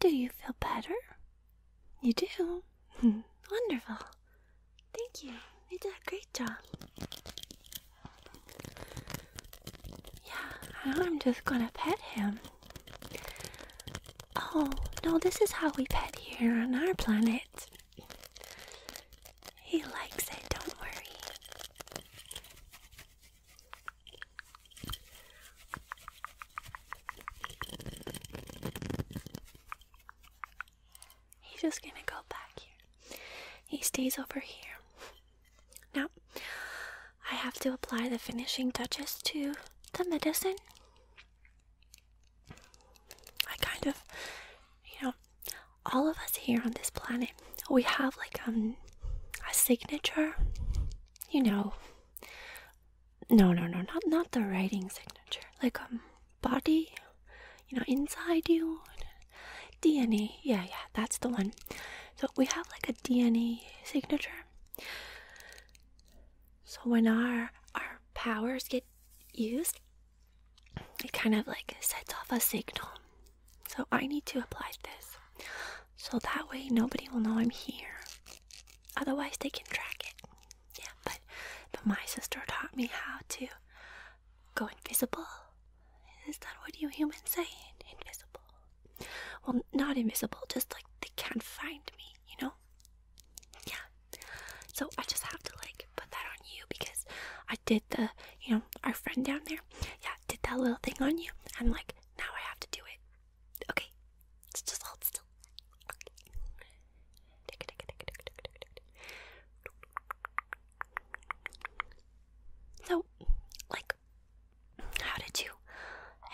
do you feel better? You do? *laughs* Wonderful. Thank you. You did a great job. Yeah, I'm just gonna pet him. Oh, no, this is how we pet here on our planet. He likes it, don't worry. He's just gonna go back here. He stays over here. Now, I have to apply the finishing touches to the medicine. I kind of, you know, all of us here on this planet, we have like um a signature, you know, no no no not not the writing signature like um body you know inside you dna yeah yeah that's the one so we have like a dna signature so when our our powers get used it kind of like sets off a signal so i need to apply this so that way nobody will know I'm here. Otherwise, they can track it. Yeah, but but my sister taught me how to go invisible. Is that what you humans say? Invisible. Well, not invisible, just like they can't find me, you know? Yeah. So I just have to like put that on you because I did the, you know, our friend down there, yeah, did that little thing on you, and like now I have to do it. Okay. let just hold still. So, like, how did you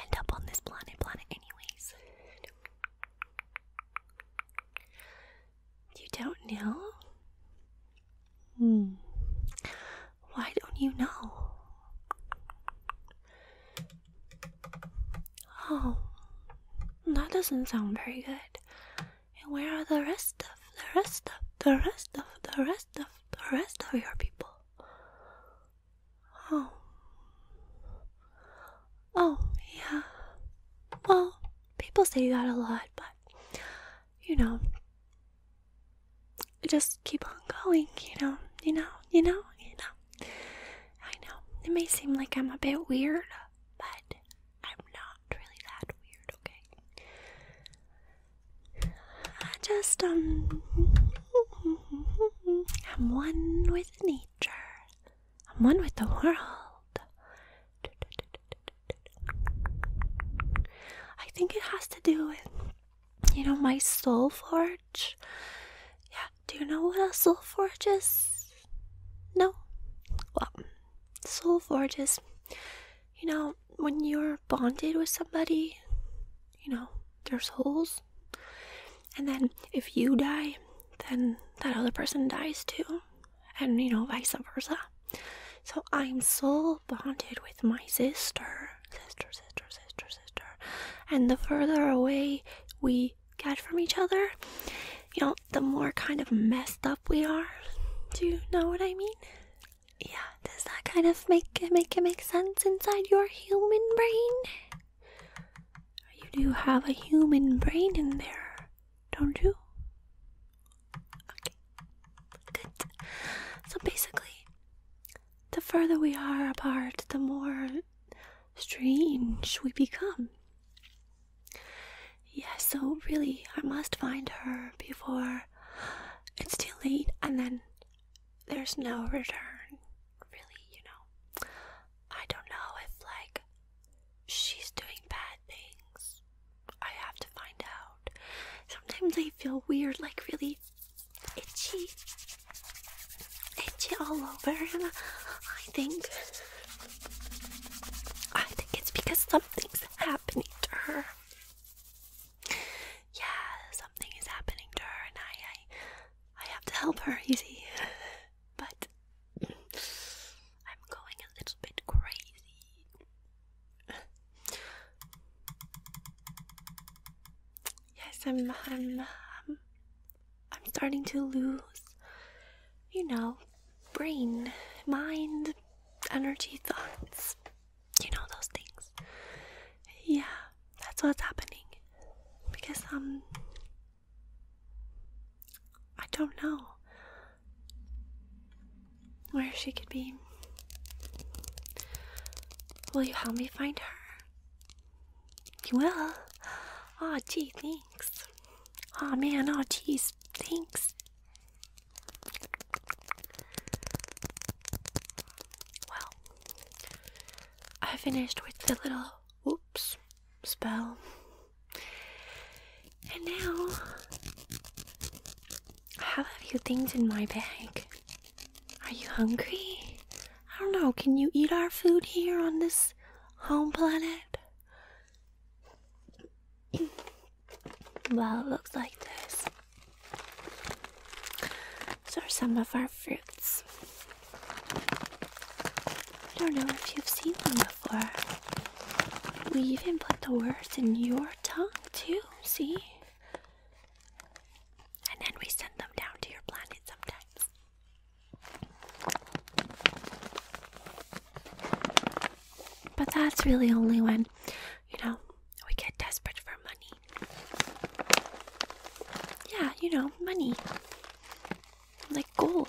end up on this planet planet anyways? You don't know? Hmm. Why don't you know? Oh, that doesn't sound very good. And where are the rest of the rest of the rest of the rest of the rest of your people? Oh. Oh, yeah. Well, people say that a lot, but you know, just keep on going, you know, you know, you know, you know. I know it may seem like I'm a bit weird, but I'm not really that weird, okay? I just, um, I'm one with nature, I'm one with the world. I think it has to do with you know my soul forge yeah do you know what a soul forge is no well soul forge is you know when you're bonded with somebody you know there's holes. and then if you die then that other person dies too and you know vice versa so i'm soul bonded with my sister sister sister sister sister and the further away we get from each other, you know, the more kind of messed up we are. Do you know what I mean? Yeah, does that kind of make it make it make sense inside your human brain? You do have a human brain in there, don't you? Okay. Good. So basically, the further we are apart, the more strange we become. Yeah, so really, I must find her before it's too late and then there's no return. Really, you know. I don't know if, like, she's doing bad things. I have to find out. Sometimes I feel weird, like, really itchy, itchy all over, I think, I think it's because something's happening to her. Yeah, something is happening to her, and I, I, I have to help her. You see, *laughs* but I'm going a little bit crazy. Yes, I'm, I'm, um, I'm, starting to lose, you know, brain, mind, energy, thoughts. You know, those things. Yeah, that's what's happening. Because, um, I don't know where she could be. Will you help me find her? You will? Oh, gee, thanks. Oh, man, oh, geez, thanks. Well, I finished with the little whoops spell. And now I have a few things in my bag. Are you hungry? I don't know, can you eat our food here on this home planet? well, it looks like this. These are some of our fruits. I don't know if you've seen them before. We even put the words in your tongue, too, see? And then we send them down to your planet sometimes. But that's really only when, you know, we get desperate for money. Yeah, you know, money. Like gold.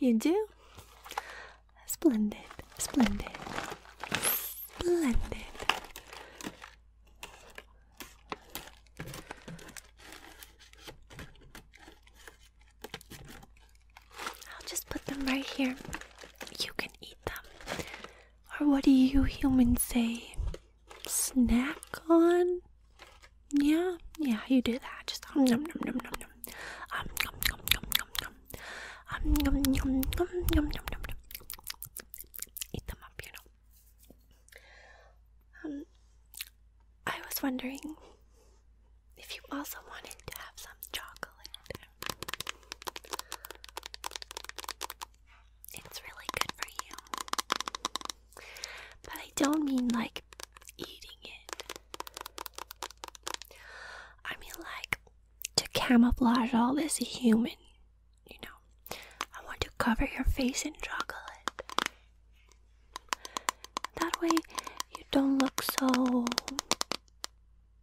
You do? Splendid, splendid, splendid. I'll just put them right here. You can eat them or what do you humans say? Snack on? Yeah, yeah, you do that. Just um num num num num num. Um num num num num num. Um num num num num num num. Eat them up, you know. Um, I was wondering if you also wanted to have some chocolate. It's really good for you. But I don't mean like eating it. I mean like to camouflage all this human, you know. I want to cover your face in chocolate. That way you don't look so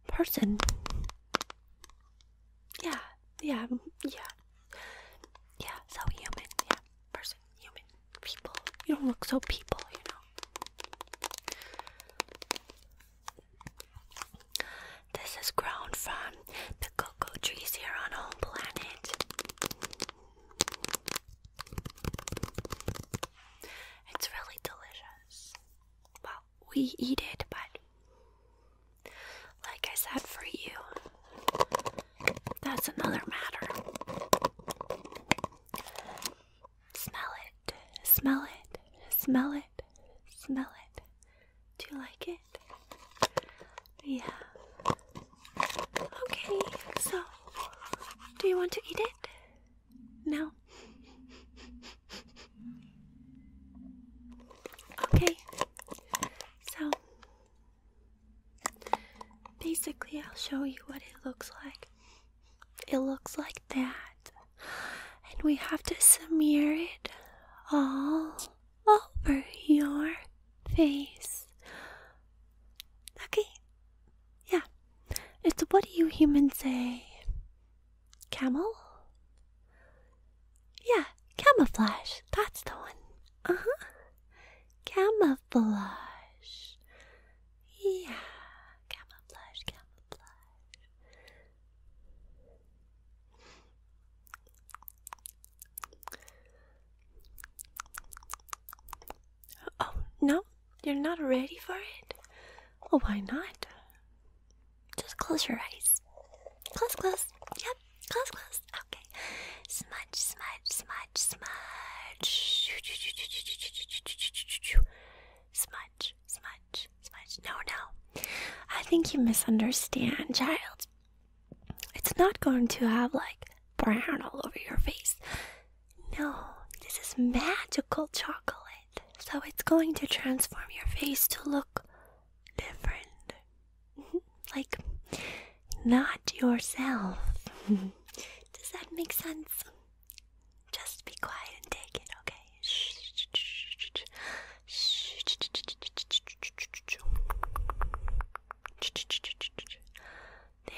person. Yeah, yeah, mm, yeah. Yeah, so human, yeah. Person, human, people. You don't look so people, you know. This is grown from the cocoa trees here on home planet. It's really delicious. Well, we eat it, but like I said, for you, that's another matter. Smell it, smell it, smell it, smell it. Do you like it? Yeah. Okay, so do you want to eat it? No. Okay, so, basically, I'll show you what it looks like. It looks like that. And we have to smear it all over your face. Okay? Yeah. It's what do you humans say? Camel? Yeah, camouflage. That's the one. Uh huh. Camouflage. Yeah, camouflage, camouflage. Oh, no, you're not ready for it? Well, why not? Just close your eyes. Close, close. Yep. Close, close. Okay. Smudge, smudge, smudge, smudge. Smudge, smudge, smudge. No, no. I think you misunderstand, child. It's not going to have like brown all over your face. No, this is magical chocolate. So it's going to transform your face to look different. *laughs* like, not yourself. *laughs* Does that make sense? Just be quiet and take it, okay?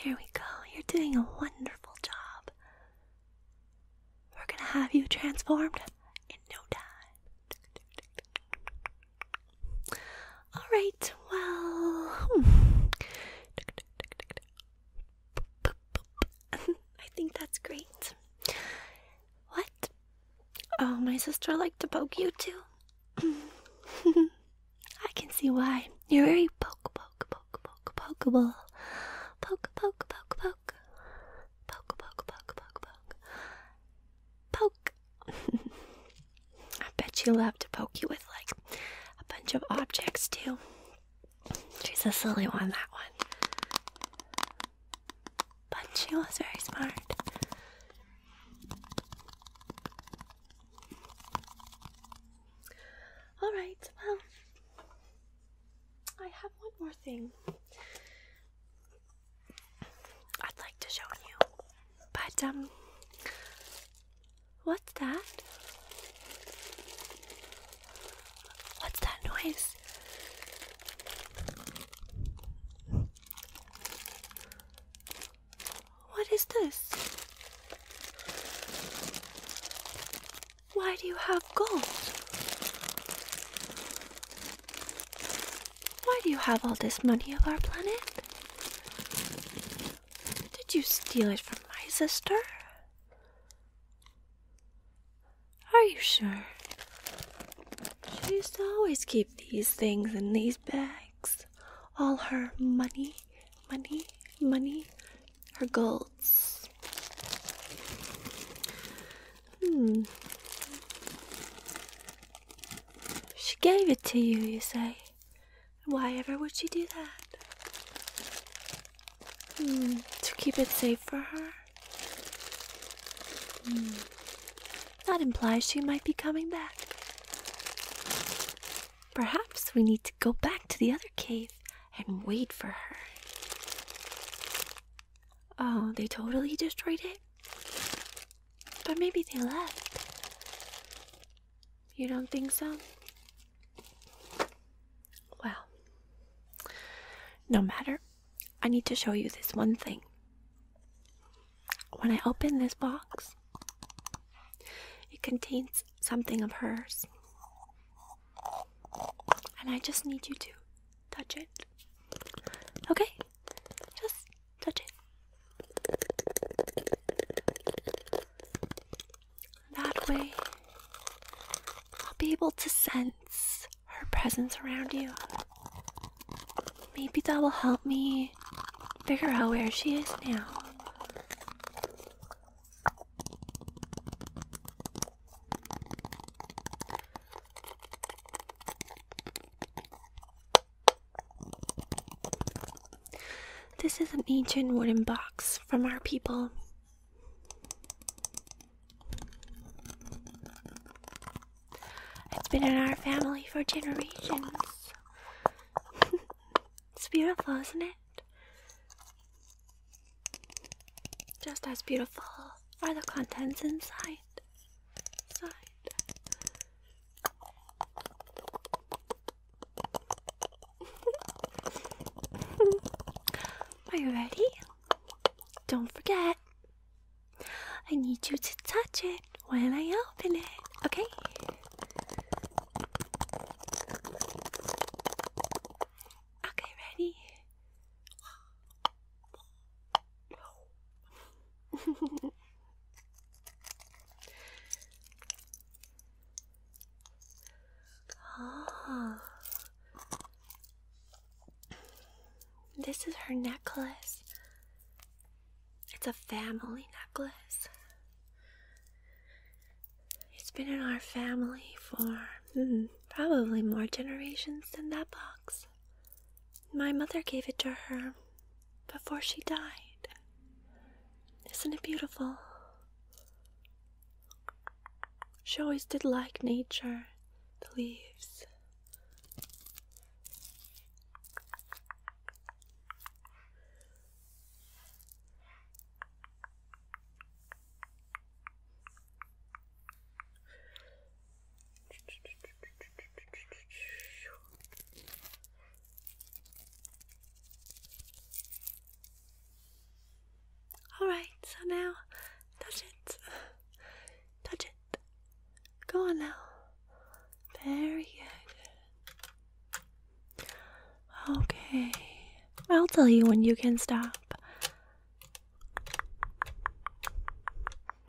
There we go. You're doing a wonderful job. We're gonna have you transformed in no time. Alright, well. Hmm. *laughs* I think that's great. What? Oh, my sister liked to poke you too. *laughs* I can see why. You're very poke, poke, poke, poke, pokeable. Poke, poke, poke, poke. Poke, poke, poke, poke, poke. Poke, *laughs* I bet she loved to poke you with like a bunch of objects too. She's a silly one, that one. But she was very smart. Alright, well, I have one more thing. I'd like to show you. But, um, what's that? What's that noise? What is this? Why do you have gold? Why do you have all this money of our planet? Did you steal it from my sister? Are you sure? She used to always keep these things in these bags. All her money, money, money, her golds. Hmm. She gave it to you, you say. Why ever would she do that? Hmm, to keep it safe for her? Hmm, that implies she might be coming back. Perhaps we need to go back to the other cave and wait for her. Oh, they totally destroyed it? But maybe they left. You don't think so? Well, no matter. I need to show you this one thing. When I open this box, it contains something of hers. And I just need you to touch it. Okay? Just that way, I'll be able to sense her presence around you. Maybe that will help me figure out where she is now. This is an ancient wooden box from our people. It's been in our family for generations. *laughs* it's beautiful, isn't it? Just as beautiful are the contents inside. Are you ready? Don't forget. I need you to touch it when I open it, okay? Okay, ready? oh. This is her necklace. It's a family necklace. It's been in our family for hmm, probably more generations than that box. My mother gave it to her before she died. Isn't it beautiful? She always did like nature, the leaves. Alright, so now touch it. Touch it. Go on now. Very good. Okay. I'll tell you when you can stop.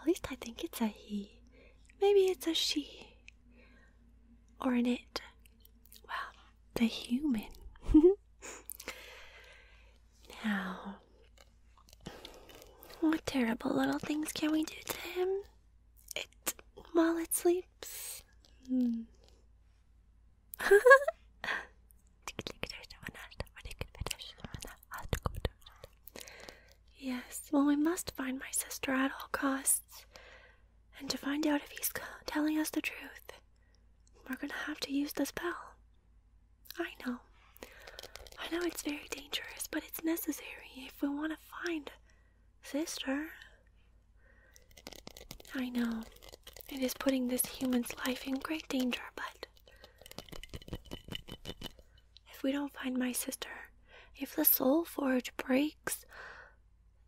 at least I think it's a he. Maybe it's a she. Or an it. Well, the human. now, what terrible little things can we do to him? It while it sleeps. Yes, well, we must find my sister at all costs. And to find out if he's telling us the truth, we're gonna have to use the spell. I know. I know it's very dangerous, but it's necessary if we want to find sister. I know. It is putting this human's life in great danger, but if we don't find my sister, if the soul forge breaks,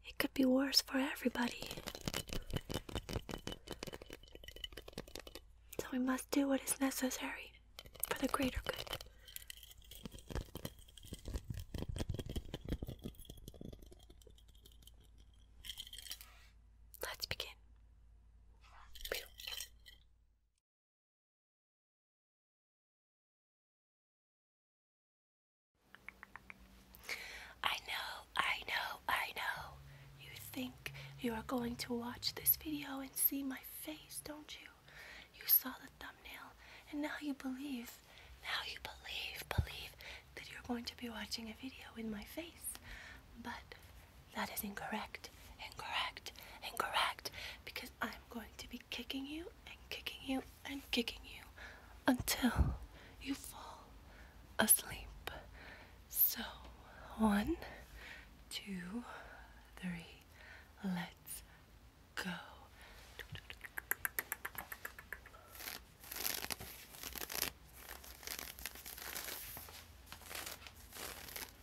it could be worse for everybody. So we must do what is necessary for the greater good. Let's begin. I know, I know, I know. You think you are going to watch this video and see my face, don't you? You saw the thumbnail and now you believe, now you believe, believe that you're going to be watching a video with my face. But that is incorrect, incorrect, incorrect, because I'm going to be kicking you and kicking you and kicking you until you fall asleep. So, one, two, three, let's go.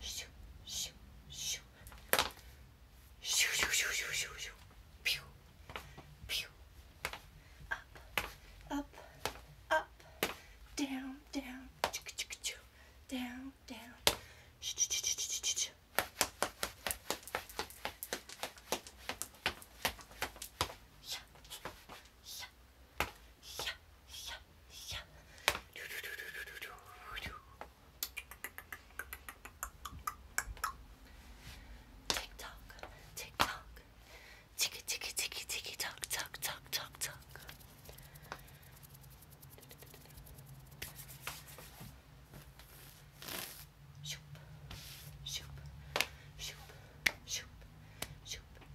Shoo, shoo, shoo. Shoo, shoo, shoo, shoo, shoo, shoo. Pew, pew. Up, up, up. Down, down. Choo, choo, choo. Down, down. Shoo, choo, choo, choo, choo, choo. Yeah, yeah, Tick tock, tick tock, ticky ticky ticky ticky tock tock tock tock shoop, shoop, shoop, shoop, shoop,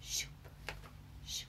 Shoop, shoop.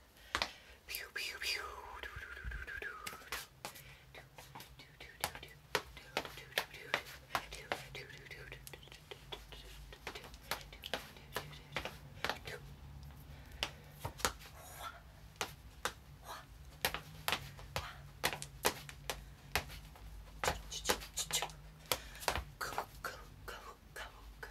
Pew pew pew. Do do do do do do. Do do do do do do do do do do do do do do. Go, go, go, go, go.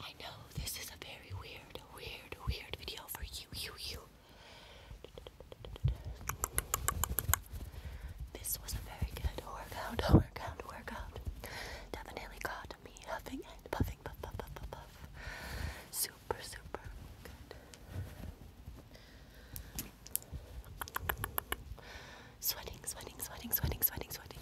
I know this is a very weird, weird, weird video for you, you, you. This was a very good workout, workout, workout. Definitely got me huffing and puffing, puff, puff, puff, puff, puff. Super, super good. Sweating, sweating, sweating, sweating, sweating, sweating.